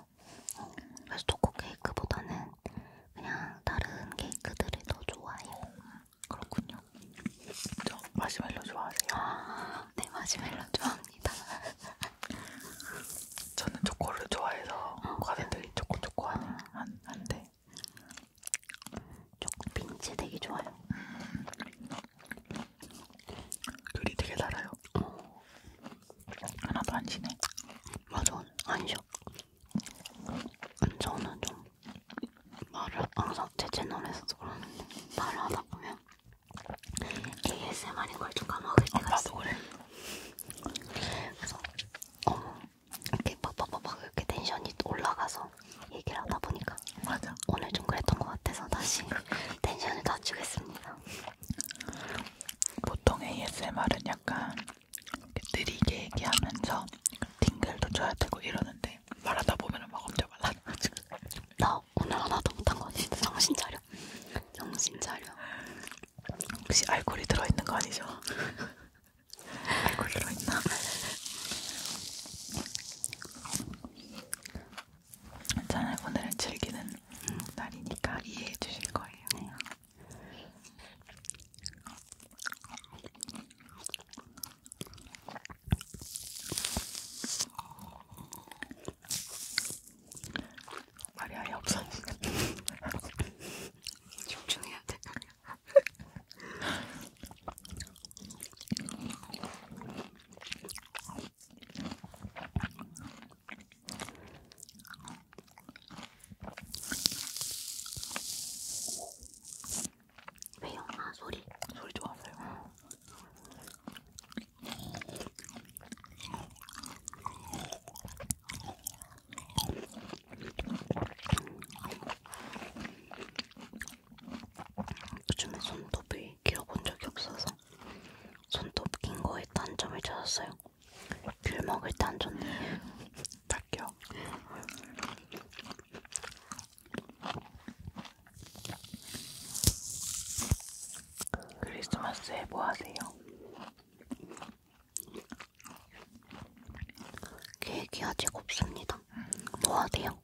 어, 그래서 초코 케이크보다는 그냥 다른 케이크들을 더 좋아해요. 그렇군요. 저 마시멜로 좋아하세요? 아, 네 마시멜로 좋아합니다. 저는 초코를 좋아해서 어. 과자들이 초코 초코 하는 안 한데. 초코 빈츠 되게 좋아요. 귤이 음. 되게 달아요. 어. 하나도 안 쉬네. 맞아, 안 쉬어. 저는 좀 말을 항상 제 채널에서도 그러는데 말을 하다 보면 ASMR인 걸좀 까먹을 때가 아, 어, 있어. 그래. 그래서 어머 이렇게 팍팍팍팍 이렇게 텐션이 올라가서 얘기를 하다 보니까 맞아. 오늘 좀 그랬던 것 같아서 다시 텐션을 낮추겠습니다. 같아요. 보통 ASMR은 약간 느리게 얘기하면서 팅글도 줘야 되고 이러는데 말하다 보면 막 엄청 말라가지고 나 오늘 하나도 못한 거 진짜 정신 차려. 정신 차려. 혹시 알코올이 들어있는 거 아니죠? 알코올 들어있나? 괜찮아요. 오늘은 즐기는 음. 날이니까 이해해 주실 거예요. 네. 말이 아예 없어지네. 집중해야 돼. 왜요? 아 소리 소리 좋았어요. 요즘에 손톱이 길어본 적이 없어서 손톱 긴 거에 단점을 찾았어요. 귤 먹을 때 안 좋네. 딱겨. 크리스마스에 뭐 하세요? 계획이 아직 없습니다. 뭐 하세요?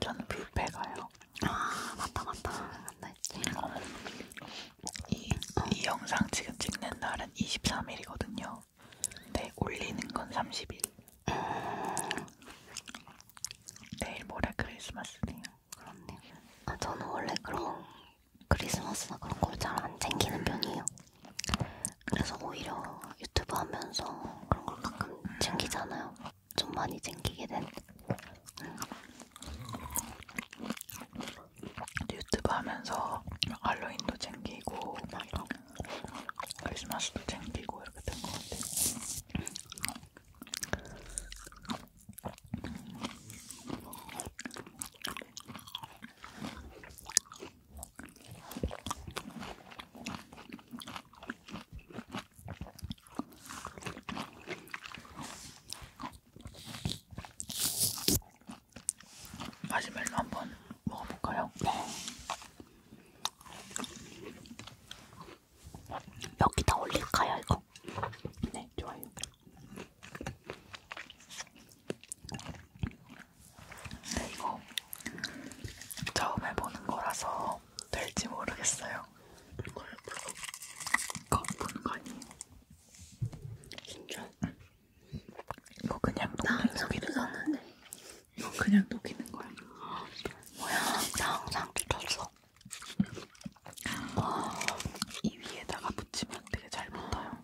저는 뷔페 가요. 아 맞다 맞다. 맞다 했지. 이, 이 영상 지금 찍는 날은 23일이거든요. 근데 올리는 건 30일. 내일 모레 크리스마스네요. 그렇네요. 아, 저는 원래 그런 크리스마스나 그런 걸 잘 안 챙기는 편이에요. 그래서 오히려 유튜브 하면서 그런 걸 가끔 챙기잖아요. 좀 많이 챙기게 된. 음. 유튜브 하면서 할로윈도 챙기고 막 이런 크리스마스도 챙기고 이렇게 된 것 같아요. 마시멜로 한 번 먹어볼까요? 네. 여기다 올릴까요 이거? 네 좋아요 근데 이거 처음 해보는 거라서 될지 모르겠어요 이걸 보는 거 아니에요? 진짜? 응. 이거 그냥 녹는 속이는 거야. 이거 그냥 녹이는 거야. 뭐야? 나 항상 뜯었어. 와, 이 위에다가 붙이면 되게 잘 붙어요.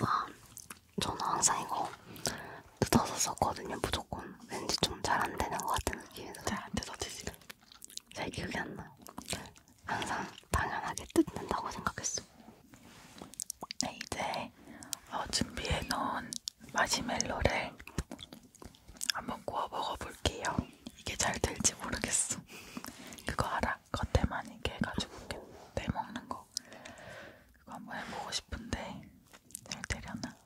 와, 저는 항상 이거 뜯어서 썼거든요, 무조건. 왠지 좀 잘 안 되는 것 같은 느낌이에요. 잘안 뜯어지지. 잘 기억이 안 나. 항상 당연하게 뜯는다고 생각했어. 네, 이제 어, 준비해 놓은 마시멜로를 한번 구워 먹어볼게요. 이게 잘 될지 모르겠어. 그거 알아? 겉에만 이렇게 해가지고 이렇게 떼먹는 거. 그거 한번 해보고 싶은데 잘 되려나?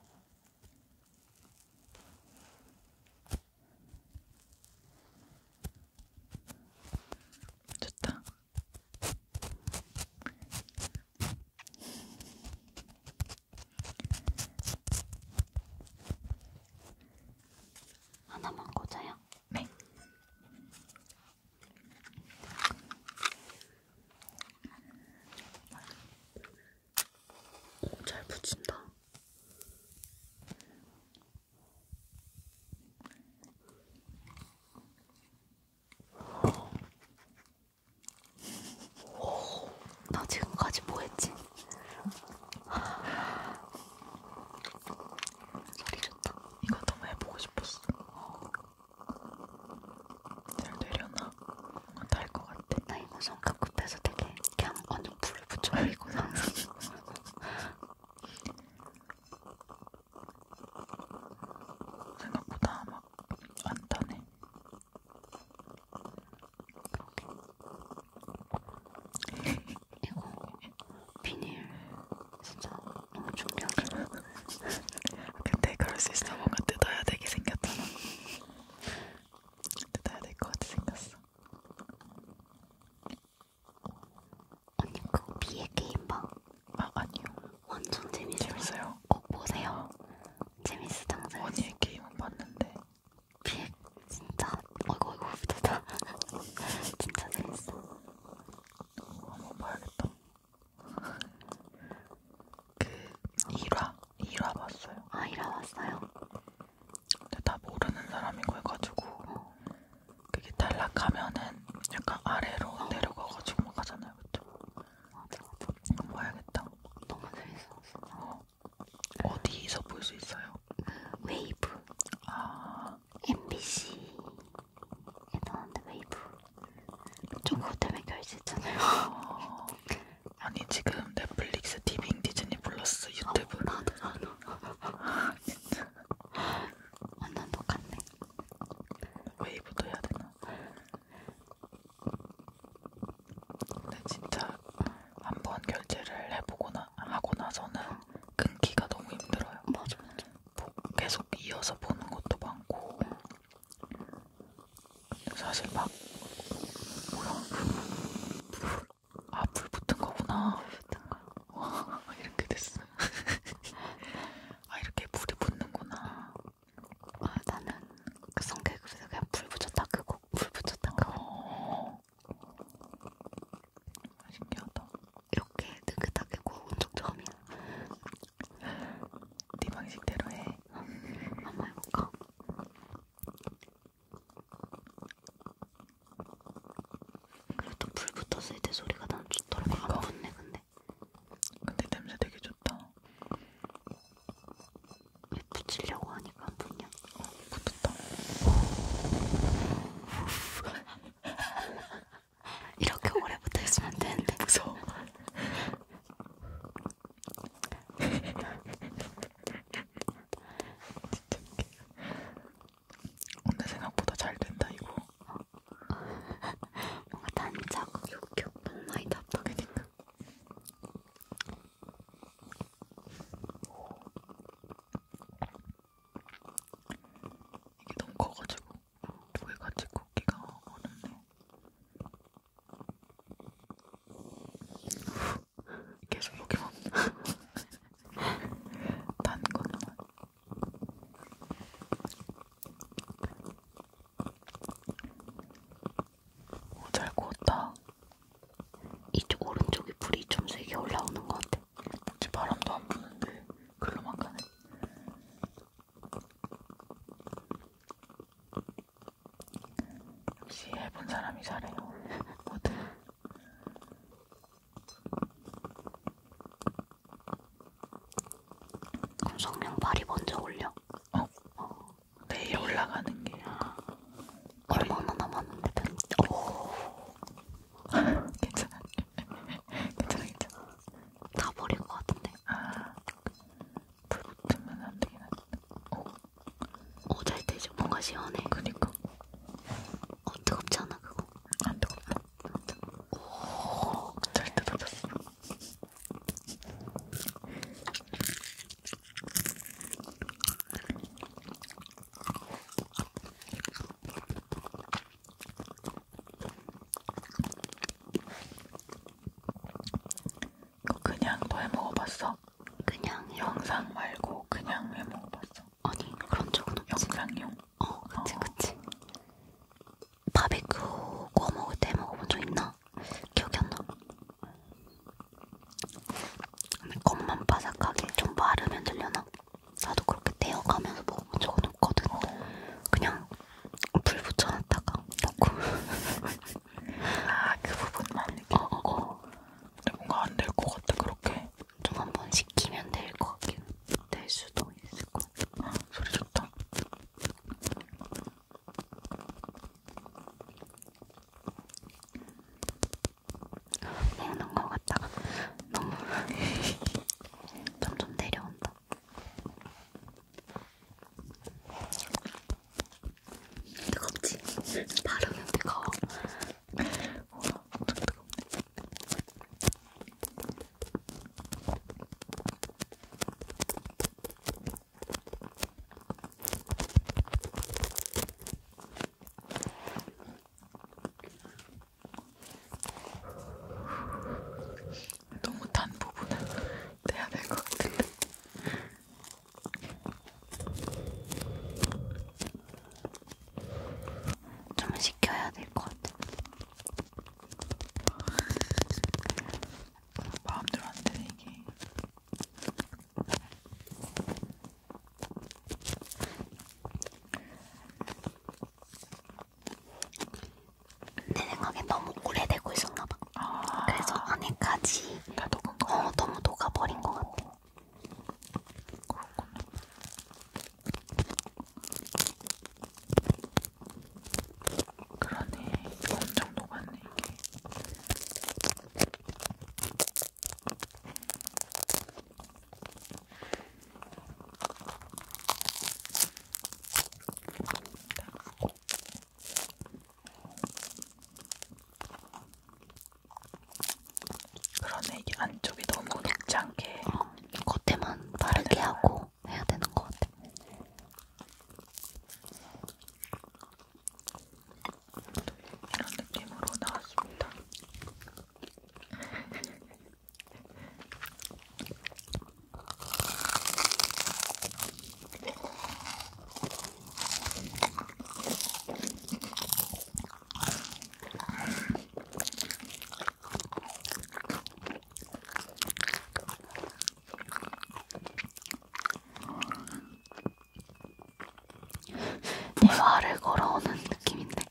좋다. 하나만 꽂아요? 네. 오, 어, 잘 붙인다. 오, 나 지금까지 뭐 했지? 소리 좋다. 이거 너무 해보고 싶었어. 잘 되려나? 뭔가 달것 같아. 나 이거 손가급해서 되게 그냥 완전 불을 붙여버리고 항상. 생각보다 막안 타네. 이거 비닐 진짜 너무 중요하잖아. 근데 그럴 수 있어. 뭔가 뜯어야 되게 생겼잖아. 뜯어야 될 것 같아 생겼어. 언니 그거 비의 게임 봐. 아 아니요. 완전 재밌어요. 재밌어요. 꼭 보세요. 재밌으장 재밌어. 언니의 게임은 봤는데. 비의 진짜 어이구 어이구 비다 진짜 재밌어. 한번 봐야겠다. 그 1화 1화 봤어요. 아 1화 봤어요. 근데 다 모르는 사람이고 해가지고 그게 탈락하면은 약간 아래로 내려가가지고 막 하잖아요, 그쵸? 봐야겠다. 너무 재밌었어. 어. 어디서 볼 수 있어요? 웨이브. 아, MBC. 나왔는데 웨이브. 조금 때문에 결제했잖아요. 아. 아니 지금 넷플릭스, 디빙, 디즈니 플러스, 유튜브 어, 나도 나도 완전 아, 똑같네 웨이브도 해야 되나? 근데 진짜 한 번 결제를 해보고 나, 하고 나서는 끊기가 너무 힘들어요 맞아 맞아 계속 이어서 보는 것도 많고 사실 막 뭐야 아, 불 붙은 거구나. 불 붙은 거. 와, 이렇게 됐어. 아, 이렇게 불이 붙는구나. 아, 나는 그 성격에서 그냥 불 붙였다 끄고, 그 불 붙였다 끄고. 그 어. 신기하다. 이렇게 느긋하게 구워본 적 처음이야. 네 방식대로 해. 한번 해볼까? 그리고 또불 붙었을 때 소리가 나는 좋더라고 안 그러니까. 붙네 근데 근데 냄새 되게 좋다 왜 붙이려고 하니까 안 붙냐 어 붙었다 이렇게 오래 붙어있으면 안 되는데 무서워 오늘 생각보다 잘 된다 이거. 뭔가 단짝 욕격 너무 많이 답답하니까. 이게 너무 커가지고 두 개 같이 굽기가 어렵네. 계속 포켓몬 단 것만 어, 잘 구웠다 이쪽 오른쪽에 불이 좀 세게 올라오는 것 같아 어째 바람도 안 부는데 글로만 가네 역시 해본 사람이 잘해요. 모두. 그럼 성령 발이 먼저 올려. 어. 어. 내일 올라가는 게. 아, 얼마나 남았는데? 오. 괜찮아. 괜찮아, 괜찮아. 다 버릴 것 같은데. 아. 불 붙으면 안 되긴 한데. 오. 어, 잘 되죠? 뭔가 시원해. 그니까. 어, 뜨겁지 않아, 그거? 안 뜨겁다. 오, 잘 뜯어졌어. 그거 그냥 너해 먹어봤어? 봤어? 그냥 영상 말고 그냥 왜 먹어봤어? 아니 그런 적은 없지 영상용? 어 그치 어. 그치 바베큐 구워 먹을 때 먹어본 적 있나? 기억이 안 나. 근데 겉만 바삭하게 좀 마르면 들려나? 나도 그렇게 데워가면서 먹어본 적은 없거든. 그냥 불 붙여놨다가 넣고. 아 그 부분만 느껴. 어, 어, 어. 근데 뭔가 안 될 것 같아 그렇게. 좀 한 번 시키면 될 것 같긴 될 수도 있을 것 같아. 아, 소리 좋다. 먹는 것 같다가 너무 점점 내려온다. 뜨겁지? 바르면 뜨거워. 어, 엄청 뜨겁네. 너무 단 부분은 내야 될 것 같은데 좀 시켜야 될 것 같아. 마음대로 안 되네 이게. 내 생각엔 너무 오래되고 있었나봐. 아 그래서 안에까지 다 녹은 거. 어 너무 녹아버린 것 같아. 그렇구나. 그러네. 엄청 녹았네, 이게. 그러네 이게 안쪽이 너무 녹지 않게 어, 겉에만 바르게 네. 하고 해야 되는 것 같아. 이런 느낌으로 나왔습니다. 내 말을 걸어오는 느낌인데.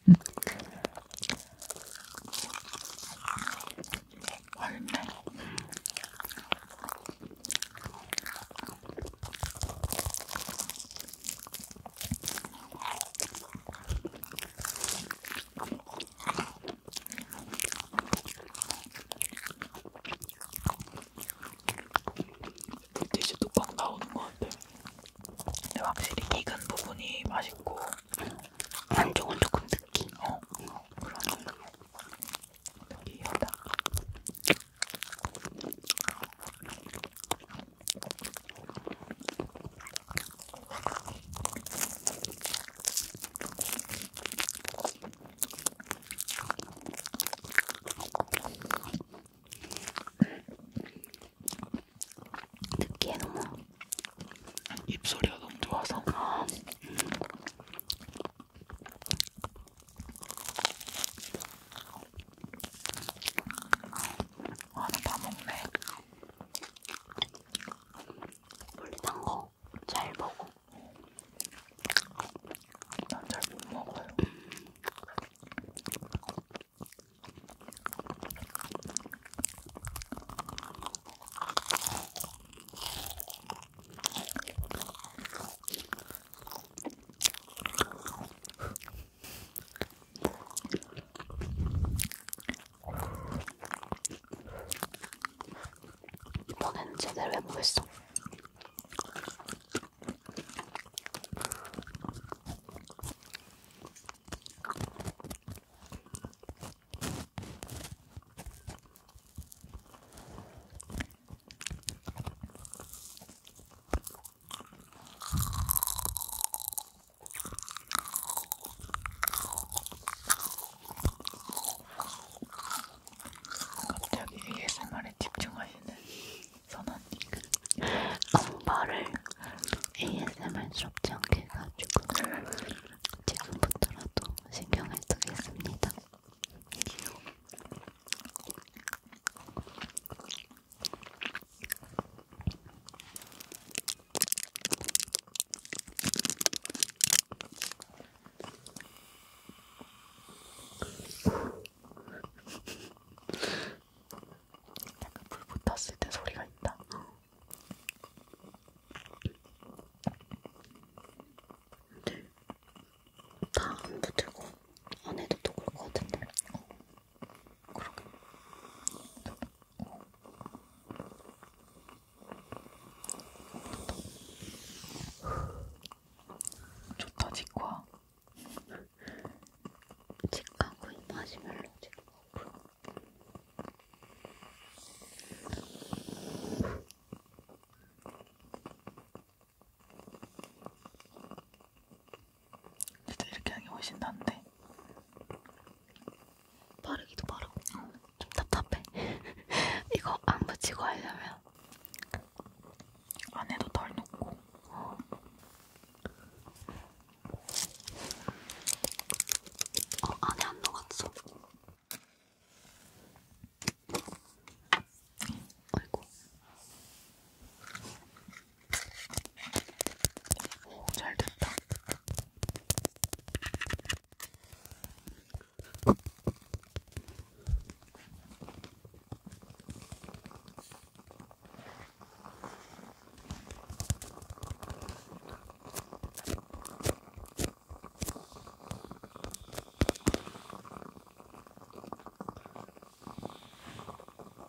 맛있네. 음. 음. 되게 뚝방 나오는 것 같아. 근데 확실히 익은 부분이 맛있고 안쪽은 조금 느끼. 어, 그런 느끼하다. 듣기에 너무 입소리가 너무 좋아서 아, 음. 아, 나다 먹네. 원래 단거잘 먹어. 난 잘 못 먹어요. 이번엔 제대로 해보겠어. 갑자기 ASMR에 집중하시는 선언님 엄마를 ASMR 스럽지 않게 해가지고 지금부터라도 신경을 쓰겠습니다. 약간 불 붙었을 때 소리가 있다. 다안 붙들고 안에도 또 그럴 것 같은데. 어. 그러게. 좋다, 치과. 치과 구이 마시멜로 치과 구이. 진짜 이렇게 하는 게 훨씬 나은데 바르기도 바르고 어, 좀 답답해 이거 안 붙이고 하려면 안에도 덜 녹고 어. 어 안에 안 녹았어 아이고 오, 잘 됐다.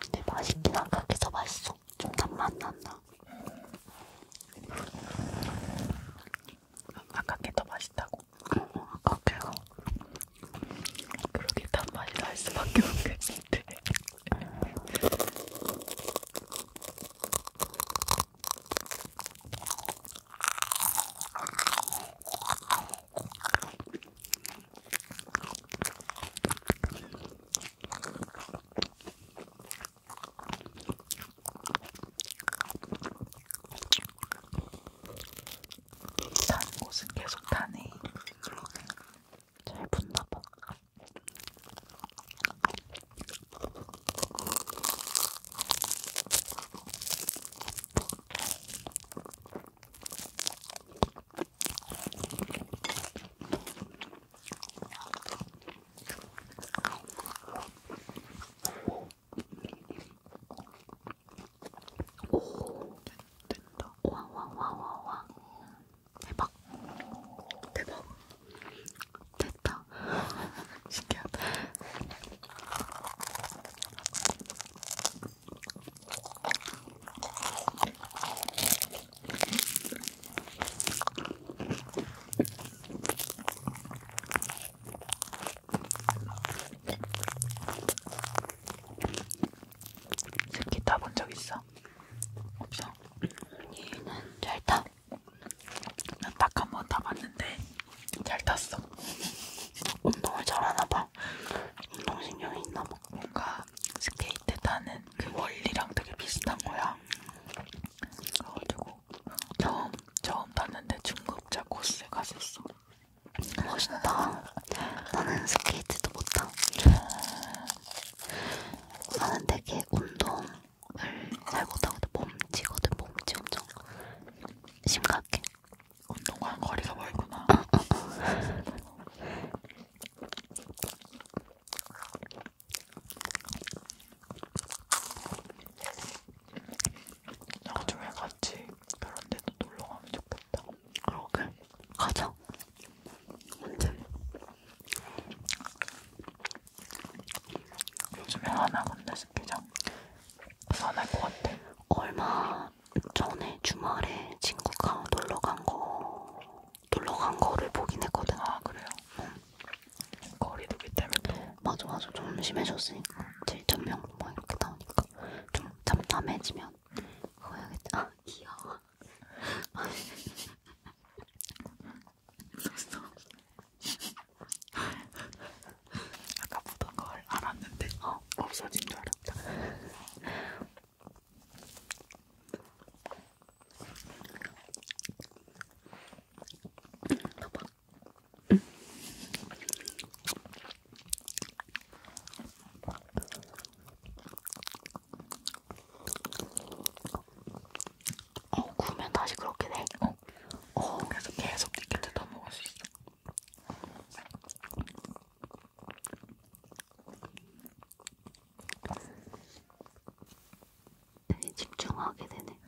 근데 맛있긴 한각해서 맛있어. 좀 단맛 난다. 음, 아깝게 더 맛있다고. 응, 어, 어, 아깝게요. 그러게 단맛이 날 수밖에 없겠는데. 단 곳은 계속 타네. 잘 붙나봐. 오, 된다. 와와와와와. 대박. 대박. 됐다. 신기하다. 스키 타본 적 있어? 없어. 얘는 잘 타. 나딱한번 타봤는데 잘 탔어. 운동을 잘하나 봐. 운동신경이 있나 봐. 뭔가 스케이트 타는 그 원리랑 되게 비슷한 거야. 그래가지고 처음 처음 탔는데 중급자 코스에 갔었어. 멋있다. 나는 스케이트도 못 타. 음. 나는 되게 운동을 잘 못하거든. 몸치거든. 몸치 엄청 심각해. 운동과는 거리가 멀구나. 나중에 같이 그런 데도 놀러 가면 좋겠다. 맛있다. 그러게 가자. 언제? 요즘에 하나 근데 스키장 안할 것 같아. 얼마 전에 주말에 친구가 놀러 간 거, 놀러 간 거를 보긴 했거든. 아 그래요? 응. 거리두기 때문에 또. 맞아 맞아 좀 심해졌으니까 7천 명막 뭐 이렇게 나오니까 좀 잠잠해지면 그거 해야겠다. 아 귀여워. 아까 보던 걸 알았는데 어, 없어진 줄 알았다. 봐봐. 어, 구우면 다시 그렇게 돼? 어. 어, 그래서 계속 티켓을 더 먹을 수 있어. 되게 집중하게 되네.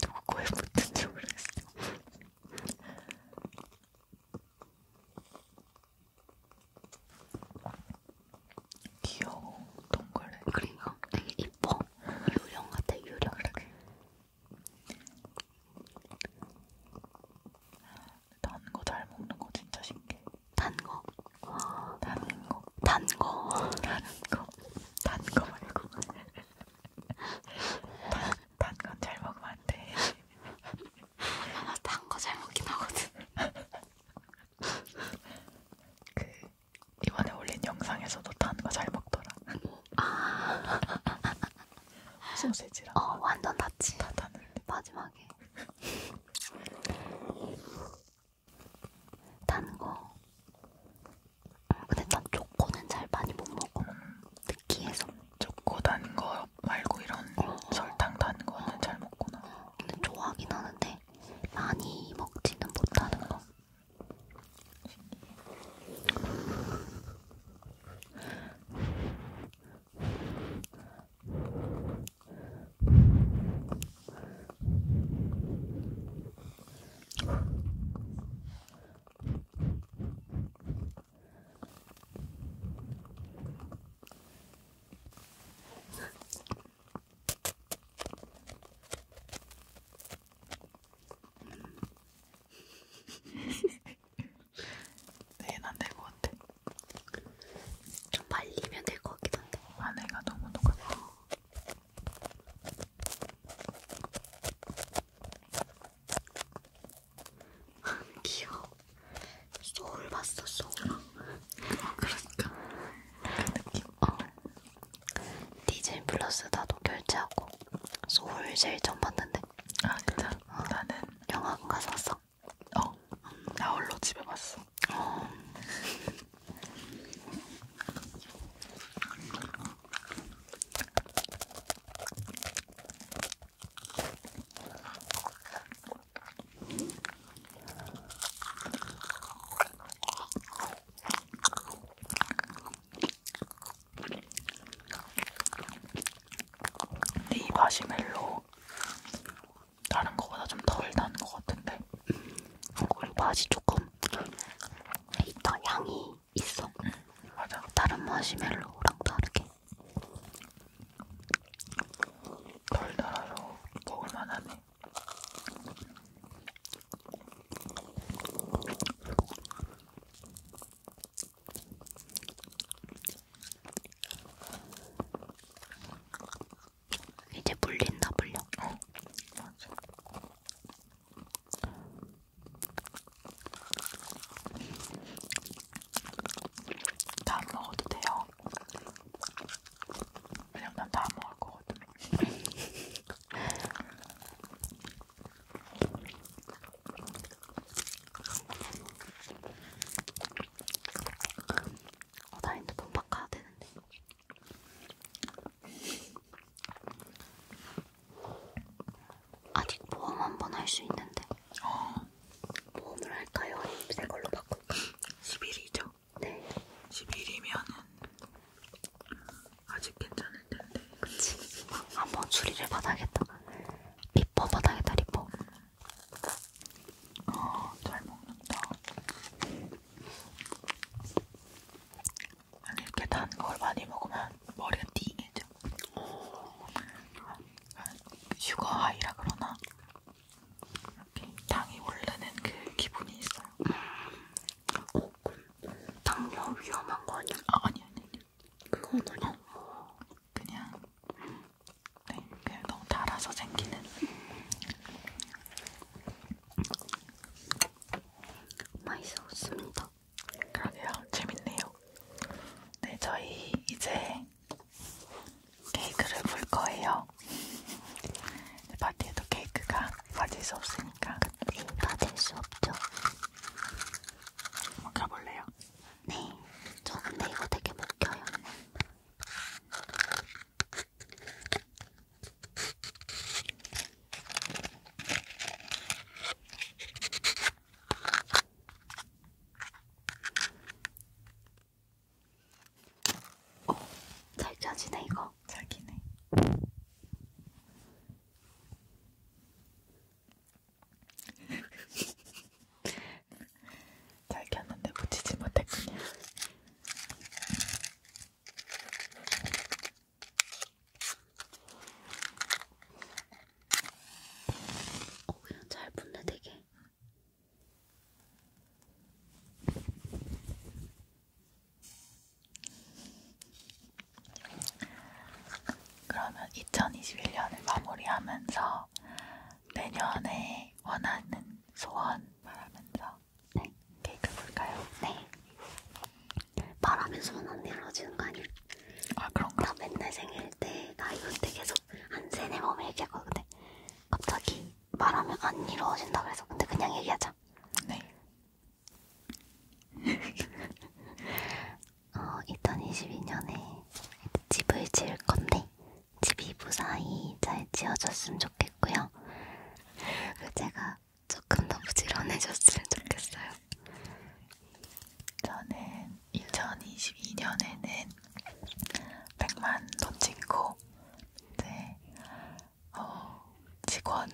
누구 거에 붙은지 모르겠어. 귀여워, 동글래. 그리고 되게 이뻐. 유령 같아, 유령. 아, 단거 잘 먹는 거 진짜 신기해. 단 거. 단 거. 단 거. 단 거. 단거 말고. 단건 잘 먹으면 안 돼. 아, 단거 잘 먹긴 하거든. 그 이번에 올린 영상에서도 단 거 잘 먹더라. 아. 소세지랑. 어, 완전 낫지. 다 닿는데. 마지막에. 단 거. 응, 음, 근데 난 초코는 잘 많이 못 먹어. 느끼해서. 초코 단거 말고 이런 어, 설탕 단 거는 어. 잘 먹구나. 근데 좋아하긴 하는데 많이 먹지는 못하는 거. 내일 안될 것 같아. 좀 말리면 될 것 같기도 한데. 아내가 너무 똑같아. 귀여워. 소울 봤어, 소울. 어, 그러니까. 그 느낌. 어. 디즈니 플러스 나도 결제하고 소울 제일 처음 봤는데. 아, 그쵸? 어. 나는 영화관 가서 봤어. 어. 음. 나 홀로 집에 봤어. 어. 근데 이 마시멜로 다른 거보다 좀 덜 나는 것 같은데 그리고 어, 맛이 조금 있다 향이 있어. 응, 맞아. 다른 마시멜로랑 다르게. 달달아서 먹을만하네. 이제 물린다 물려. 어. 맞아. 다안 먹어도 돼요. 왜냐면 난다안 먹을 거거든. 어, 나 핸드폰 바꿔야 되는데. 아직 모험 한 번 할 수 있는데. 어. 모험을 할까요? 아니면 새 걸로 바꿀까? 10일이죠? 네. 10일이면은 아직 괜찮을 텐데. 그치. 한번 추리를 받아야겠다. 리퍼 받아야겠다, 리퍼. 어, 잘 먹는다. 아니 이렇게 단 걸 많이 먹으면 머리가 띵해져. 슈거 하이라 그러나 이렇게 당이 오르는 그 기분이 있어요. 어, 당뇨 위험한 거 아니야? 아, 아니 아니 아니. 그건 아니야. 어, 그냥 네, 그냥 너무 달아서 생기는. 맛있었습니다. 그러게요. 재밌네요. 네, 저희 이제 케이크를 볼 거예요. 파티에도 케이크가 빠질 수 없으니까. 네, 빠질 수 없죠. 먹어볼래요? 네. 저 근데 이거 되게 먹혀요. 어, 잘 짜지네 이거. 잘 기네. 잘 켰는데 붙이지 못했군요. 어, 그냥 잘 붙네, 되게. 그러면 2021년을 마무리하면서 내년에 원하는 소원 말하면서 네, 케이크 네, 볼까요? 네. 말하면서만 안 이루어지는 거 아니야? 아 그런가? 나 맨날 생일 때나 이럴 때 계속 한 세네 번 얘기하고 근데 갑자기 말하면 안 이루어진다 그래서 근데 그냥 얘기하자. 네. 어 2022년에 집을 지을 건데 집이 무사히 잘 지어졌으면 좋겠고요. 그 제가 조금 더 부지런해졌으면 좋겠어요. 저는 2022년에는 100만도 찍고 이제 어, 직원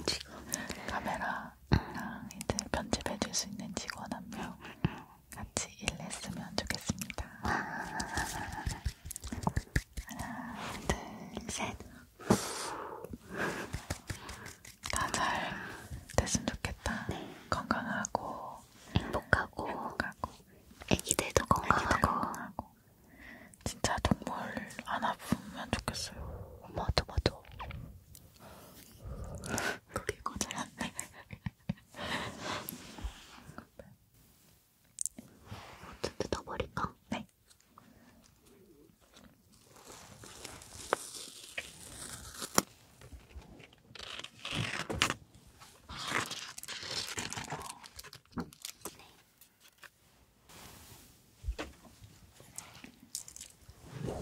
카메라랑 이제 편집해줄 수 있는 직원 한 명 같이 일했으면 좋겠습니다. 하나, 둘, 셋. 다잘 됐으면 좋겠다. 네. 건강하고 행복하고, 행복하고. 애기들도 건강하고. 애기들 건강하고 진짜 동물 안 아프면 좋겠어요. 맞아 맞아. 그게 거절한데. 먼저 뜯어버릴까? 네.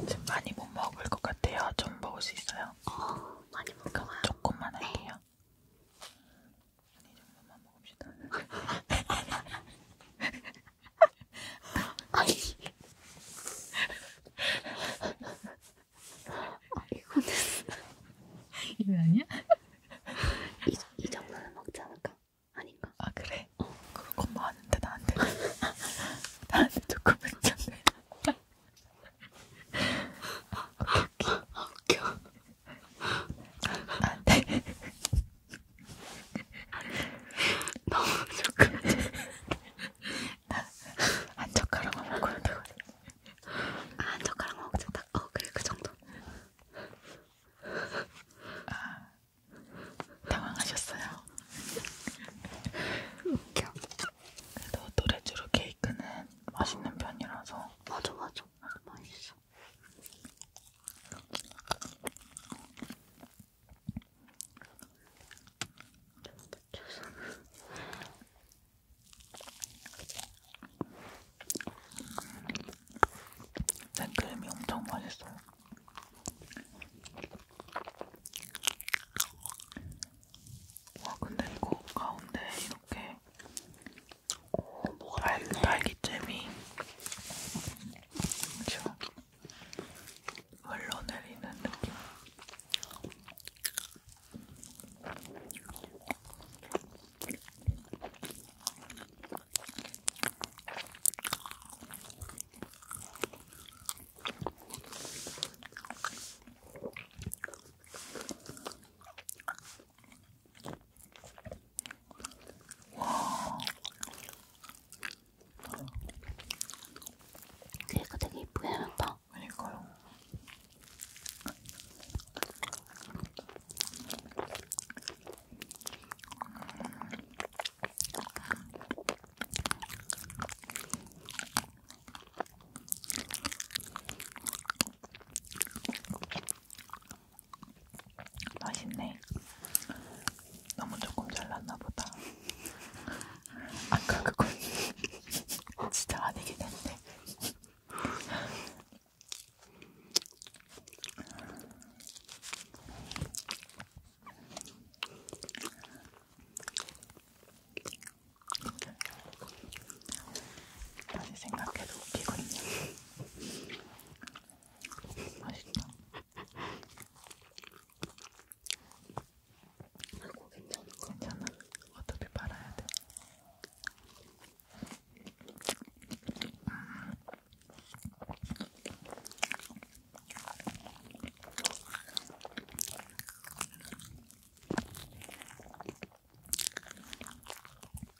지금 많이 못 먹을 것 같아요. 좀 먹을 수 있어요? 어, 많이 먹을까요? 조금만 할게요. 네. 아니, 정도만 먹읍시다. 아니, 아, 이거는 이거 아니야? 이, 이 정도는 먹지 않을까? 아닌가? 아 그래? 어. 그런 건 많은데 나한테 나한테 조금 괜찮네. 아, 웃겨. 아, 아, 네. 너무 조금 한 젓가락만 먹어야 되거든. 아, 한 젓가락 먹자. 딱, 어, 그래, 그 정도. 아, 당황하셨어요. 웃겨. 그래도 노래주로 케이크는 맛있는 편이라서. 맞아, 맞아. 맛있어. 생크림이 엄청 맛있어요. 와 근데 이거 가운데 이렇게 어, 뭐가 달, 딸기잼이 그렇죠? 흘러내리는 느낌. 와. 귀가 되게 이쁘게 생겼다. 그러니까요. 맛있네. 너무 조금 잘랐나 보다. 아까 그건 진짜 아니긴 했네. 다시 생각해도 웃기군요. 맛있다. 아이고 괜찮은 거 괜찮아. 어차피 말아야 돼.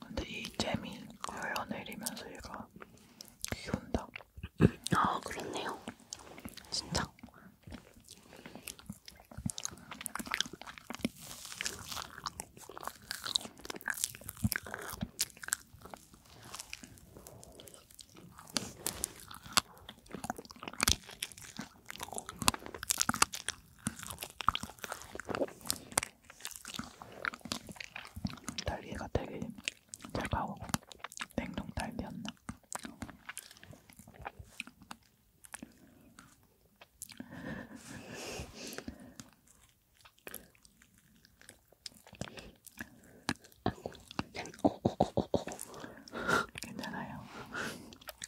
근데 이 잼이 흘러내리면서 얘가 기운다. 아 그렇네요. 진짜. 달걀가 되게 제가 냉동 딸기였나? 아이고, 어, 어, 어, 어, 어. 괜찮아요.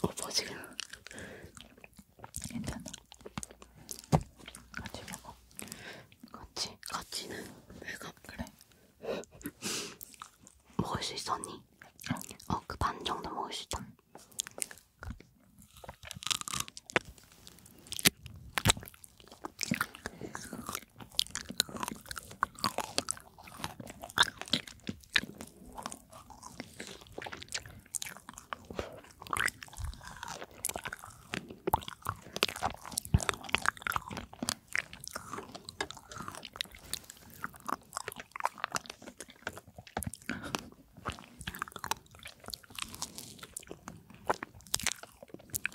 어, 뭐 지금? 괜찮아. 같이 먹어. 같이 같이는 왜가 그래? 먹을 수 있었니? 어, 어 그 반 정도 먹을 수 있다.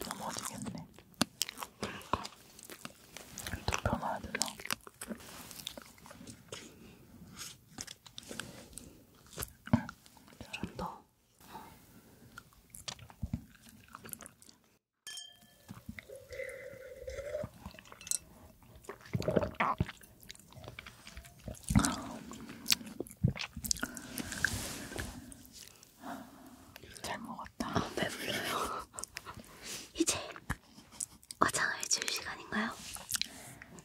넘어지겠네. 또 펴놔야 되나? 잘한다. 잘 먹었다. 아, 배불러요. 이제 화장을 해줄 시간인가요?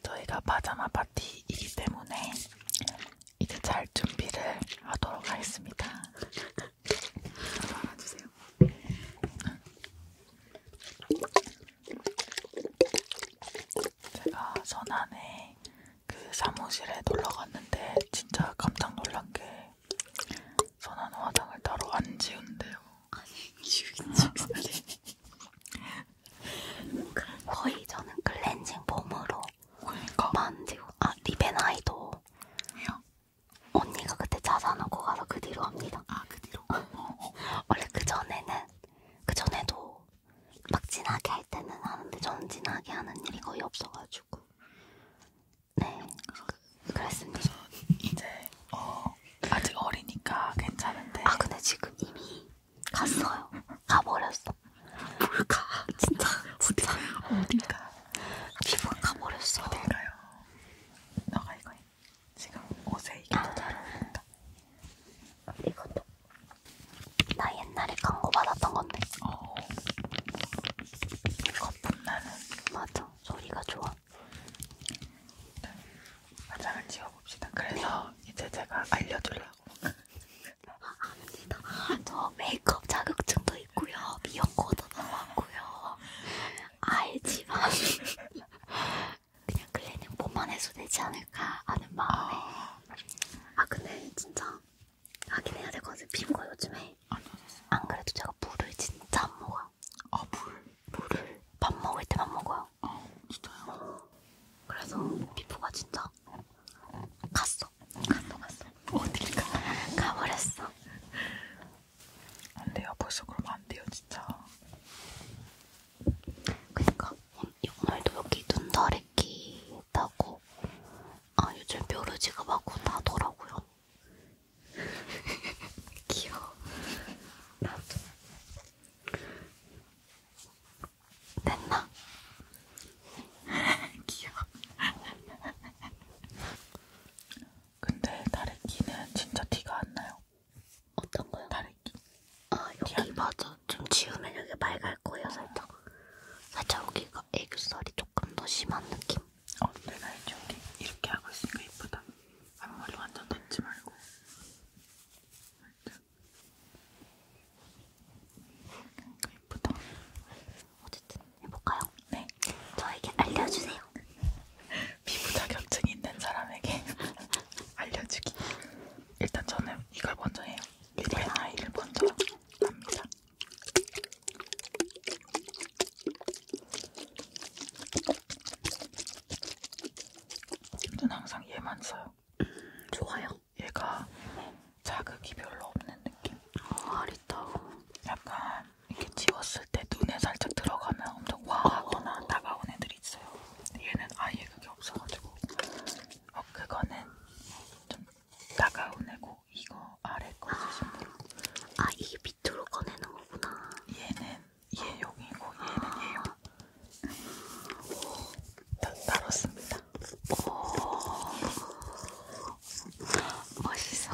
저희가 파자마 파티이기 때문에 이제 잘 준비를 하도록 하겠습니다. 알아주세요. 제가 선안에 그 사무실에 놀러 갔는데 진짜 깜짝 놀란 게 선안 화장을 따로 안 지운대요. 아니 지우겠지. 거의 저는 클렌징 폼으로 그러니까. 만지고. 아 리벤아이도. 왜요? 언니가 그때 찾아놓고 가서 그 뒤로 합니다. 아그 뒤로. 어, 어, 어. 원래 그 전에는 그 전에도 막 진하게 할 때는 하는데 전 진하게 하는 일이 거의 없어가지고. 네. 그래서, 그랬습니다. 그래서 이제 어 아직 어리니까 괜찮은데. 아 근데 지금 이미 갔어요. 가버렸어. 뭘까? 진짜 어디, 어디가? 피부가 버렸어. 어딜까요? 너가 이거 해. 지금 옷에 이게 더잘 어울린다. 이것도 나 옛날에 광고 받았던 건데. 어. 거품 나는. 맞아. 소리가 좋아. 화장을 지워봅시다. 그래서 네. 이제 제가 알려주려고 합니다. 저 메이크업 자격증도 있고요. 미용고도 나왔고요. 알지만 그냥 글래닝 몸만 해도 되지 않을까 하는 마음에 아 근데 진짜 하긴 해야 될것 같아요. 피부가 요즘에 안 그래도 제가 물을 진짜 안 먹어요. 아 물? 물을 밥 먹을 때만 먹어요. 아 진짜요? 그래서 피부가 진짜 갔어. 갔어, 갔어. 어딜 가? 가버렸어. 안 돼요. 벌써 그러면 안 돼요, 진짜. 그니까, 오늘도 여기 눈다래끼 있다고. 아, 요즘 뾰루지가 막 나더라고요. 귀여워. 나도. 됐나? 귀여워. 근데 다래끼는 진짜 티가 안 나요. 어떤 거요? 다래끼. 아 여기 맞아. 좀 지우면 여기 맑을 거예요 살짝. 살짝 여기가 애교살이 조금 더 심한 느낌. 어 내가 이제 여기 이렇게 하고 있으니까 예쁘다. 앞머리 완전 닿지 말고. 예쁘다. 어쨌든 해볼까요? 네. 저에게 알려주세요. 피부 자격증이 있는 사람에게 알려주기. 일단 저는 이걸 먼저 해요. 리벤 아이를 먼저 합니다. 저는 항상 얘만 써요. 음, 좋아요. 얘가 네. 자극이 별로 없는 느낌. 아, 아리따워. 약간 이렇게 지웠을 때 눈에 살짝 들어가면 엄청 와하거나 어, 어. 다가온 애들이 있어요. 얘는 아예 그게 없어가지고. 어, 그거는 좀 다가온 애고 이거 아래 거 쓰신 아, 분. 아, 이게 밑으로 꺼내는 거구나. 얘는 얘용이고 아. 얘는 아. 얘용. 다 다뤘습니다. 오. 어. 멋있어.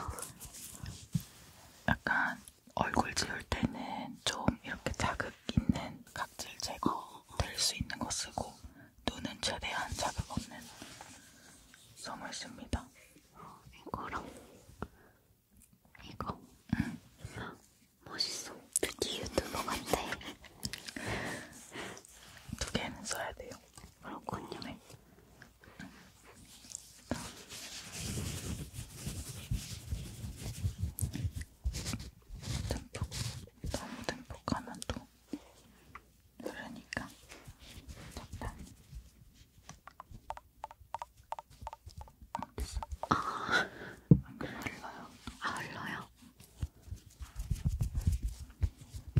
약간 얼굴 지울 때는 좀 이렇게 자극 있는 각질 제거 될 수 있는 거 쓰고 눈은 최대한 자극 없는 솜을 씁니다. 이거랑 이거 응. 멋있어. 특히 유튜버 같아. 두 개는 써야 돼요. 그렇군요. 듬뿍, 너무 듬뿍하면 또 흐르니까 그러니까. 적당히. 됐어. 아, 안 흘러요. 아, 흘러요?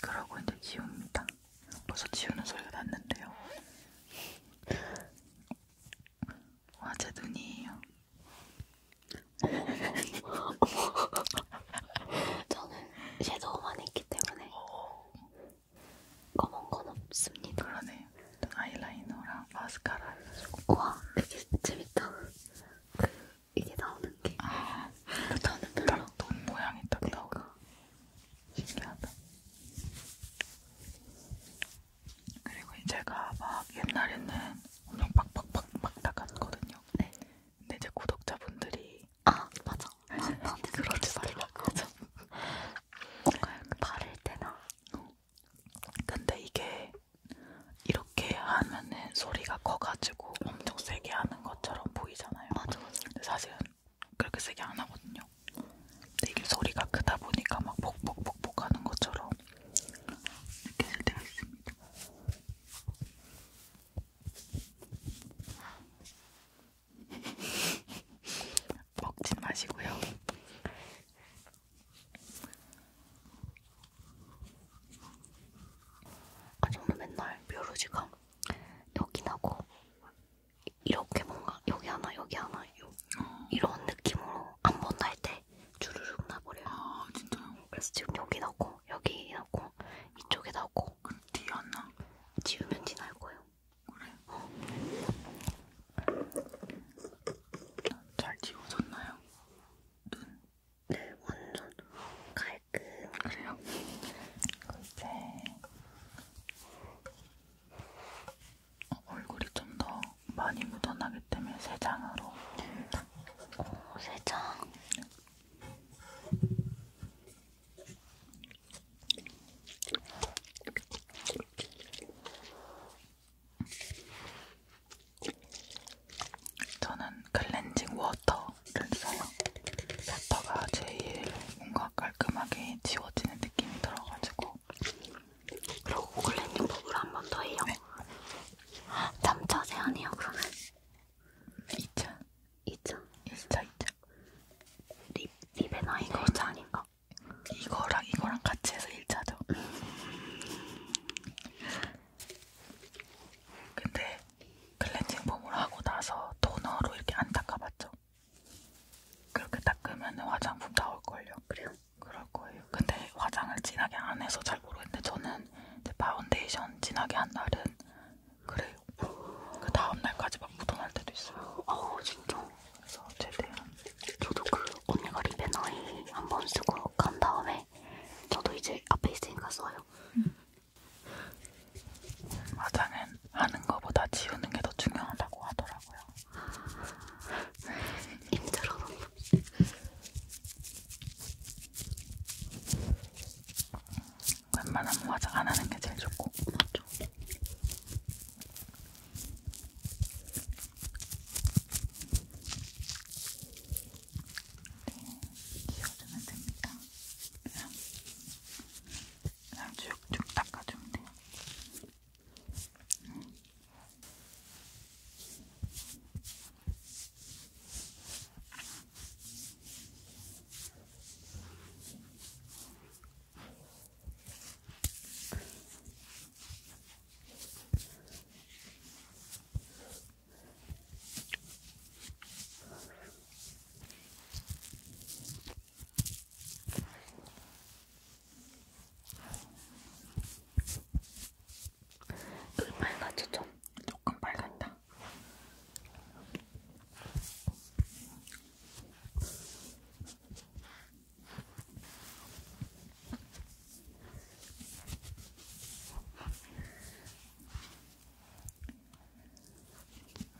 그러고 이제 지웁니다. 벌써 지우는 소리가 났는데요. 와, 제 눈이에요. 저는 섀도우만 했기 때문에 검은 건 없습니다. 그러네. 눈 아이라이너랑 마스카라 해가지고. 와, 되게 재밌다. 그 이게 나오는 게. 아, 저는 별로. 눈 모양이 딱 그러니까. 나오고. 신기하다. 그리고 제가 막 옛날에는 엄청 빡빡빡빡 나갔거든요. 네. 근데 이제 구독자분들이 아 맞아. 나한테 그러지 말라고. 뭔가 바를 때나. 어. 근데 이게 이렇게 하면은 소리가 커가지고 엄청 세게 하는 것처럼 보이잖아요. 맞아. 맞아. 근데 사실은 그렇게 세게 안 하거든요. 근데 이게 소리가 크다 보니까 막 복복복복 하는 것처럼 느껴질 때가 있습니다. 먹지 마시고요. 아 정말 맨날 뾰루지가 여기 나고 이렇게 뭔가 여기 하나 여기 하나 요, 어. 이런 느낌으로 한번날때 주르륵 나버려요. 아 진짜요? 그래서 지금 여기 넣고 여기 넣고 이쪽에 넣고. 그럼 뒤안 나? 지우면 지날 거예요. 그래? 어. 잘 지워졌나요? 눈? 네 완전 가위 깔끔. 그래요? 이제 어, 얼굴이 좀 더 많이 묻어나기 때문에 세장으로. 오, 세장. 저는 클렌징 워터 렌즈사용 뱉터가 제일 뭔가 깔끔하게 지워지는 느낌이 들어가지고 그리고 고글링 유법으로 한번 더 해요 네. 남자 제한이요 그러면? 2차 2차? 1차 2차 립, 립의 나이가 2차 아닌가? 이거랑 이거랑 같이 해서 1차죠 근데 클렌징 폼으로 하고 나서 토너로 이렇게 안 닦아봤죠? 그렇게 닦으면 화장품 나올걸요. 그래요? 그럴 거예요. 근데 화장을 진하게 안 해서 잘 모르겠는데 저는 이제 파운데이션 진하게 한 날은 그래요. 그 다음 날까지 막 묻어날 때도 있어요. 어 진짜. 그래서 최대한. 저도 그 언니가 립앤 아이 한 번 쓰고 간 다음에 저도 이제 앞에 있으니까 써요. 음. 화장은 하는 거보다 지우는 게 더 중요하다고 하더라고요. 힘들어. 웬만하면 화장 안 하는 게 제일 좋고. 맞죠. 네, 지워주면 됩니다. 그냥 쭉쭉 닦아주면 돼요. 음. 여기 빨갛죠 좀? 조금 빨갛다.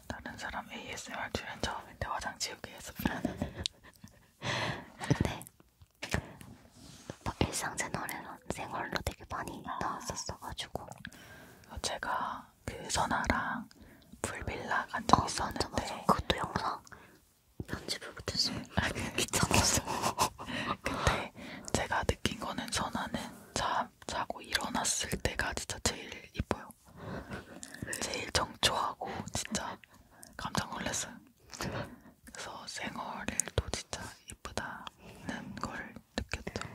다른 사람 ASMR 출연 처음인데 화장 지우기 했습니다. 근데 뭐 일상 채널에는 생얼로 되게 많이 아. 나왔었어가지고 어, 제가 그 선아랑 풀빌라 간적 어, 아, 있었는데 맞아, 맞아. 그것도 영상 편집을 못했어. 아, 그 귀찮았어. 근데 제가 느낀 거는 선아는 자, 자고 일어났을 때가 진짜 제일 이뻐요. 제일 정초하고 진짜 깜짝 놀랐어요. 그래서 생얼을 또 진짜 이쁘다는 걸 느꼈죠.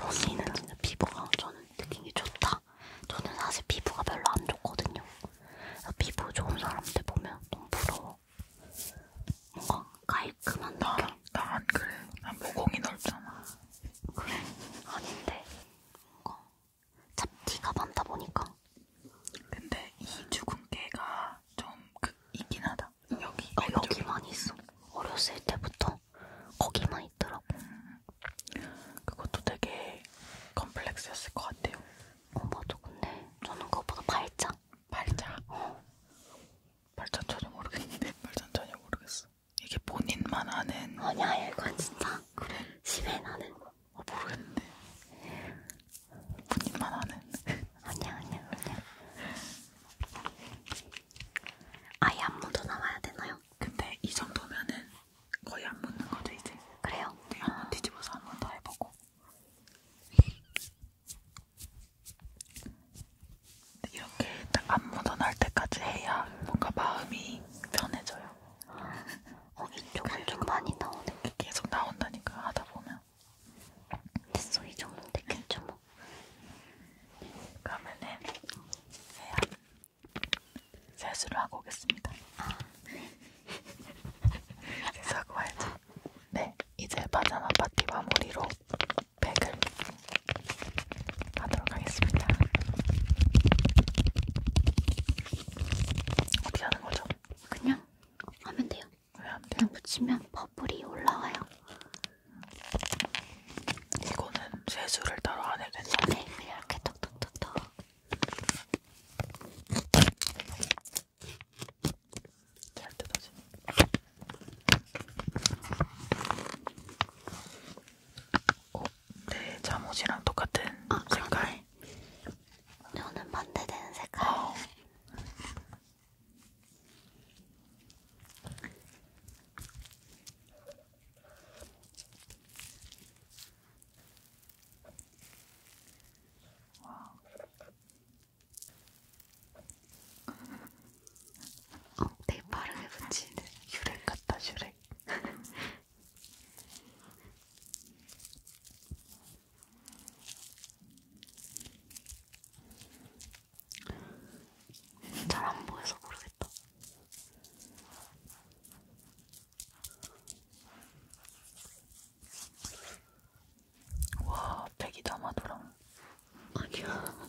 언니는 진짜 피부가 저는 느낀 게 좋다. 저는 사실 피부가 별로 안 좋거든요. 피부 좋은 사람들 보면 너무 부러워. 뭔가 깔끔한 나, 느낌. 나안 그래. 난 모공이 넓잖아. 그래 아닌데 뭔가 잡티가 많다 보니까 근데 이 주근깨가 좀 있긴 하다 응. 여기 어, 여기만 있어 어렸을 때부터 거기만 있더라고 음, 그것도 되게 컴플렉스였을 것 같아요 어 맞아 근데 저는 그것보다 발자 발자? 어 발자처럼 모르겠는데 발자는 전혀 모르겠어 이게 본인만 아는 아니야 이거 진짜 그래? 심해 나는 어, 모르겠는데 본인만 아는 아니야 아니야 아니야 아예 안 묻어 나와야 되나요? 근데 이 정도면은 거의 안 묻는 거죠 이제 그래요? 네 한번 뒤집어서 한 번 더 해보고 이렇게 딱 안 묻어날 때까지 해야 뭔가 마음이 편해져요. 어, 이쪽은 좀 많이 나오네. 계속 나온다니까 하다 보면. 됐어, 이 정도 됐겠죠 뭐. 그러면은 세안 세수를 하고 오겠습니다. 아, 네. 세수하고 와야죠. 네, 이제 바자마 파티 마무리로 백을 하도록 하겠습니다. 어떻게 하는 거죠? 그냥 하면 돼요. 왜안 돼요? 그냥 붙이면 버블이 올라와요. 이거는 세수를 따로 안 해도 된다. 네, 그냥 이렇게 톡톡톡톡. 잘 뜯어지. 어, 내 네, 잠옷이랑 똑같은 아, 아 색깔. 저는 네. 네, 반대되는 색깔. 어. 어, 되게 빠르게 붙이는 슈렉 같다 슈렉 잘안 보여서 모르겠다. 와, 백이다 마도랑. 아니야.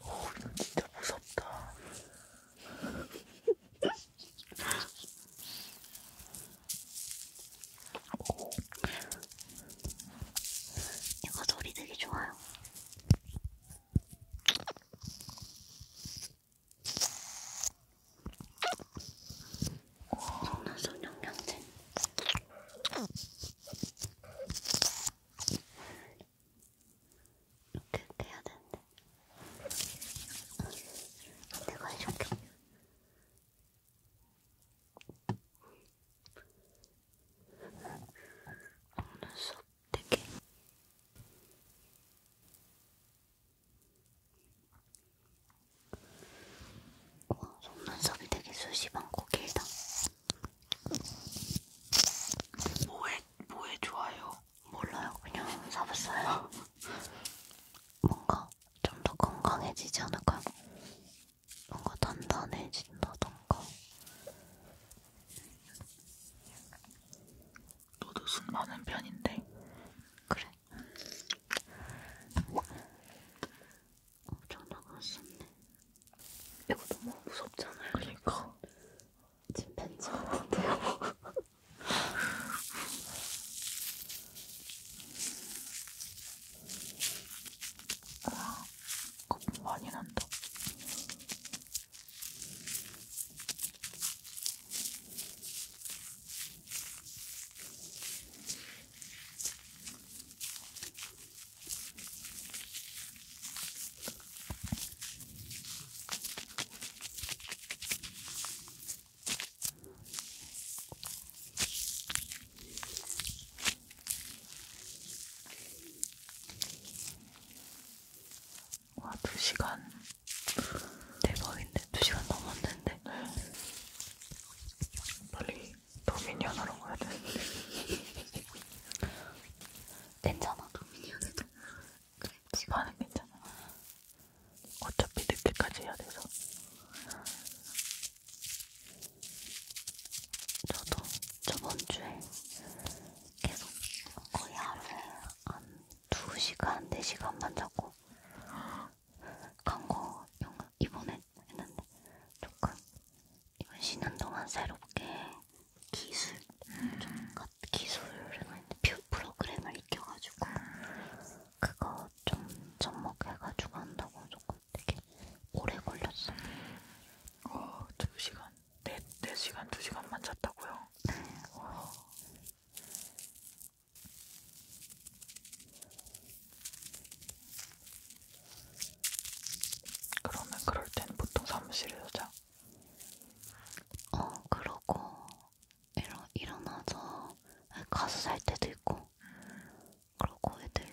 오, 넌 진짜 무섭다. 오. 이거 소리 되게 좋아요. 속눈썹 영양제 이렇게 해야 되는데 내가 해줄게 눈썹 되게 와 속눈썹이 되게 수시방고 길다 뭐에 뭐에 좋아요? 몰라요. 그냥 사봤어요. 뭔가 좀 더 건강해지지 않을까요? 뭔가 단단해진다던가. 너도 술 많은 편인데. 그래. 엄청나게 맛있네. 이거 너무 무섭잖아요. 그러니까. 침팬지 같은데요. 와, 거품 뭐 많이 난다. 와, 2시간 대박인데? 2시간 넘었는데? 네. 빨리 도미니언으로 가야 되는데 괜찮아. 도민이 안 해도. 그래. 시간은 괜찮아. 어차피 늦게까지 해야 돼서. 저도 저번 주에 계속 거의 하루에 한 2시간, 4시간만 자고 간 거 이번에 했는데 조금 이번 쉬는 동안 새롭게 기술 좀 기술을 뷰 프로그램을 익혀가지고 그거 좀 접목해가지고 한다고 조금 되게 오래 걸렸어. 어, 두 시간, 네, 네 시간, 두 시간만 잤다고요? 네. 와. 그러면 그럴 땐 보통 사무실에서 자? 어, 그러고 일어, 일어나서 가서 잘 때도 있고 그러고 애들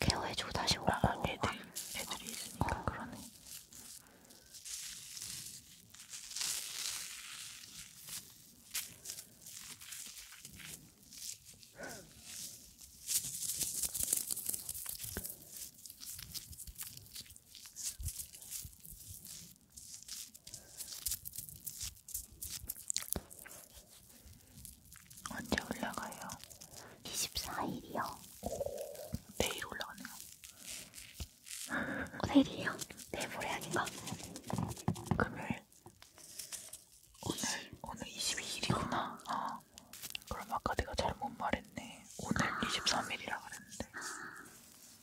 케어해주고 다시 아, 오고 아, 애들, 애들이 있으니까 어. 그러네 언제 올라가요? 24일이요. 내일 올라가네요. 내일이요? 내일 모레아닌가? 금요일. 오늘 오늘 22일이구나. 어. 아. 그럼 아까 내가 잘못 말했네. 오늘 아... 23일이라 그랬는데.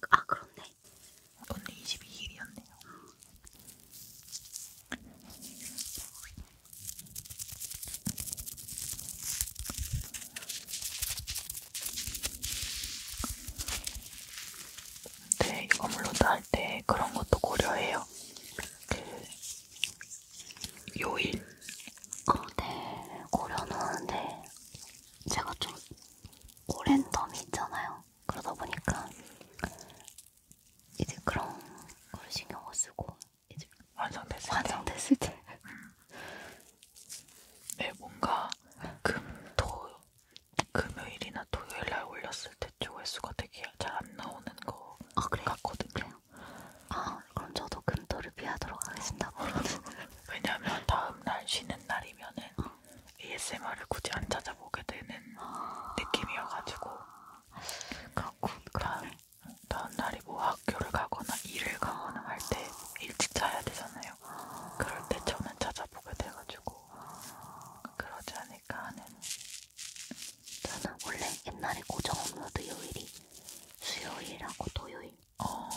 아 그렇네. 오늘 22일이었네요. 근데 이거 물론 다할때 그런 것도 고려해요. 그 요일. 어, 네, 고려놓는데 제가 좀 오랜 텀이 있잖아요. 그러다 보니까 이제 그런 걸 신경 못 쓰고 이제 완성됐을 때. 완성됐을 때. 음. 네, 뭔가 금, 토, 금요일이나 토요일날 올렸을 때 조회수가 되게 잘 안 나오는 거 아, 같거든요. 있잖아요. 아 그럼 저도 금토를 피하도록 하겠습니다. 왜냐면 다음날 쉬는 날이면은 어. ASMR을 굳이 안 찾아보게 되는 어. 느낌이어가지고 그렇군 다음, 다음 날이 뭐 학교를 가거나 일을 가거나 할 때 일찍 자야 되잖아요. 아. 그럴 때 저는 찾아보게 돼가지고 그러지 않을까 하는 저는 원래 옛날에 고정 업로드 요일이 수요일하고 토요일 어...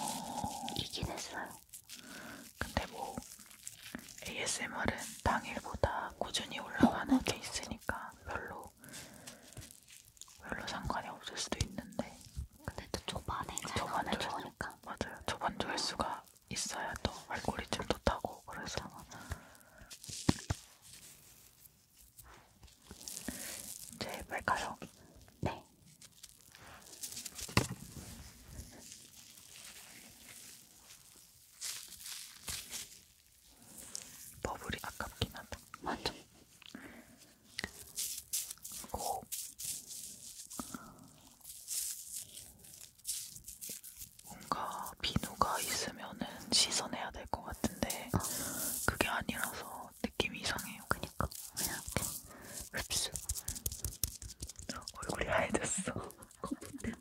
이긴 했어요. 근데 뭐 ASMR은 당일보다 꾸준히 올라가는 게 있으니까 별로 별로 상관이 없을 수도 있는데. 근데 또 초반에 초반에 좋으니까. 맞아요. 초반 조회수가 있어야 또 알고리즘도 타고 그래서. 맞아, 맞아. 제발 가요. 네. 버블이 아깝긴 하다. 맞아. 고. 뭔가 비누가 있으면은 씻어내야 될 것 같은데 어. 그게 아니라서 어, 느낌이 이상해요. 그니까 그냥 이렇게 흡수. 얼굴이 하얘졌어. 거품 때문에.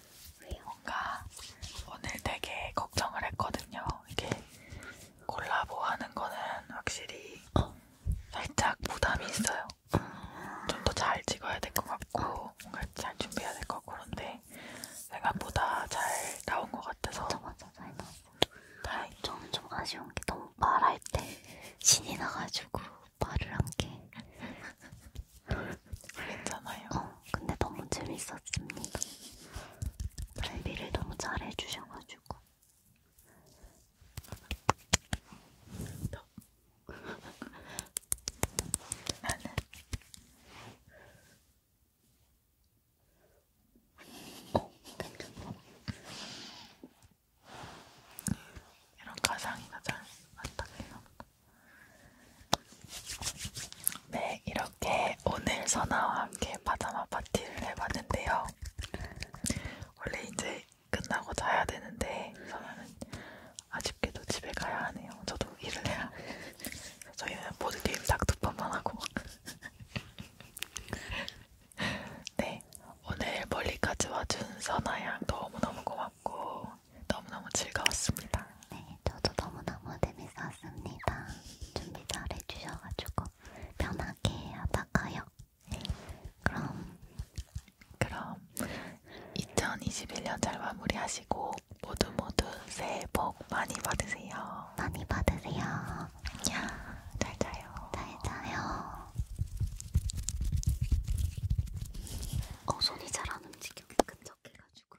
뭔가 오늘 되게 걱정을 했거든요. 이게 콜라보 하는 거는 확실히 어. 살짝 부담이 있어요. 좀 더 잘 찍어야 될 것 같고 뭔가 잘 준비해야 될것 그런데 생각보다 잘 나온 것 같아서 맞아 맞아 잘 나왔어. 다행. 저는 좀 아쉬운 게 너무 말할 때 신이 나가지고 말을 한 게. 괜찮아요. 어, 근데 너무 재밌었습니다. 발비를 너무 잘해주셔가지고. 나는 어, 괜찮다. 이런 가상이가 잘 안타깝나 보다. 네, 이렇게 오늘 선아와 함께 파자마 파티를 해봤는데요. 원래 이제 끝나고 자야 되는데 선아는 아쉽게도 집에 가야 하네요. 저도 일을 해야. 저희는 모두 게임 딱두 번만 하고. 네, 오늘 멀리까지 와준 선아양 너무너무 고맙고 너무너무 즐거웠습니다. 네, 저도 너무너무 재밌었습니다. 준비 잘 해주셔가지고 편하게 하다가요. 그럼, 그럼 2021년 잘 마무리하시고 모두 모두 새해 복 많이 받으세요. 많이 받으세요. 야, 잘 자요. 잘 자요. 어, 손이 잘 안 움직여. 끈적해가지고.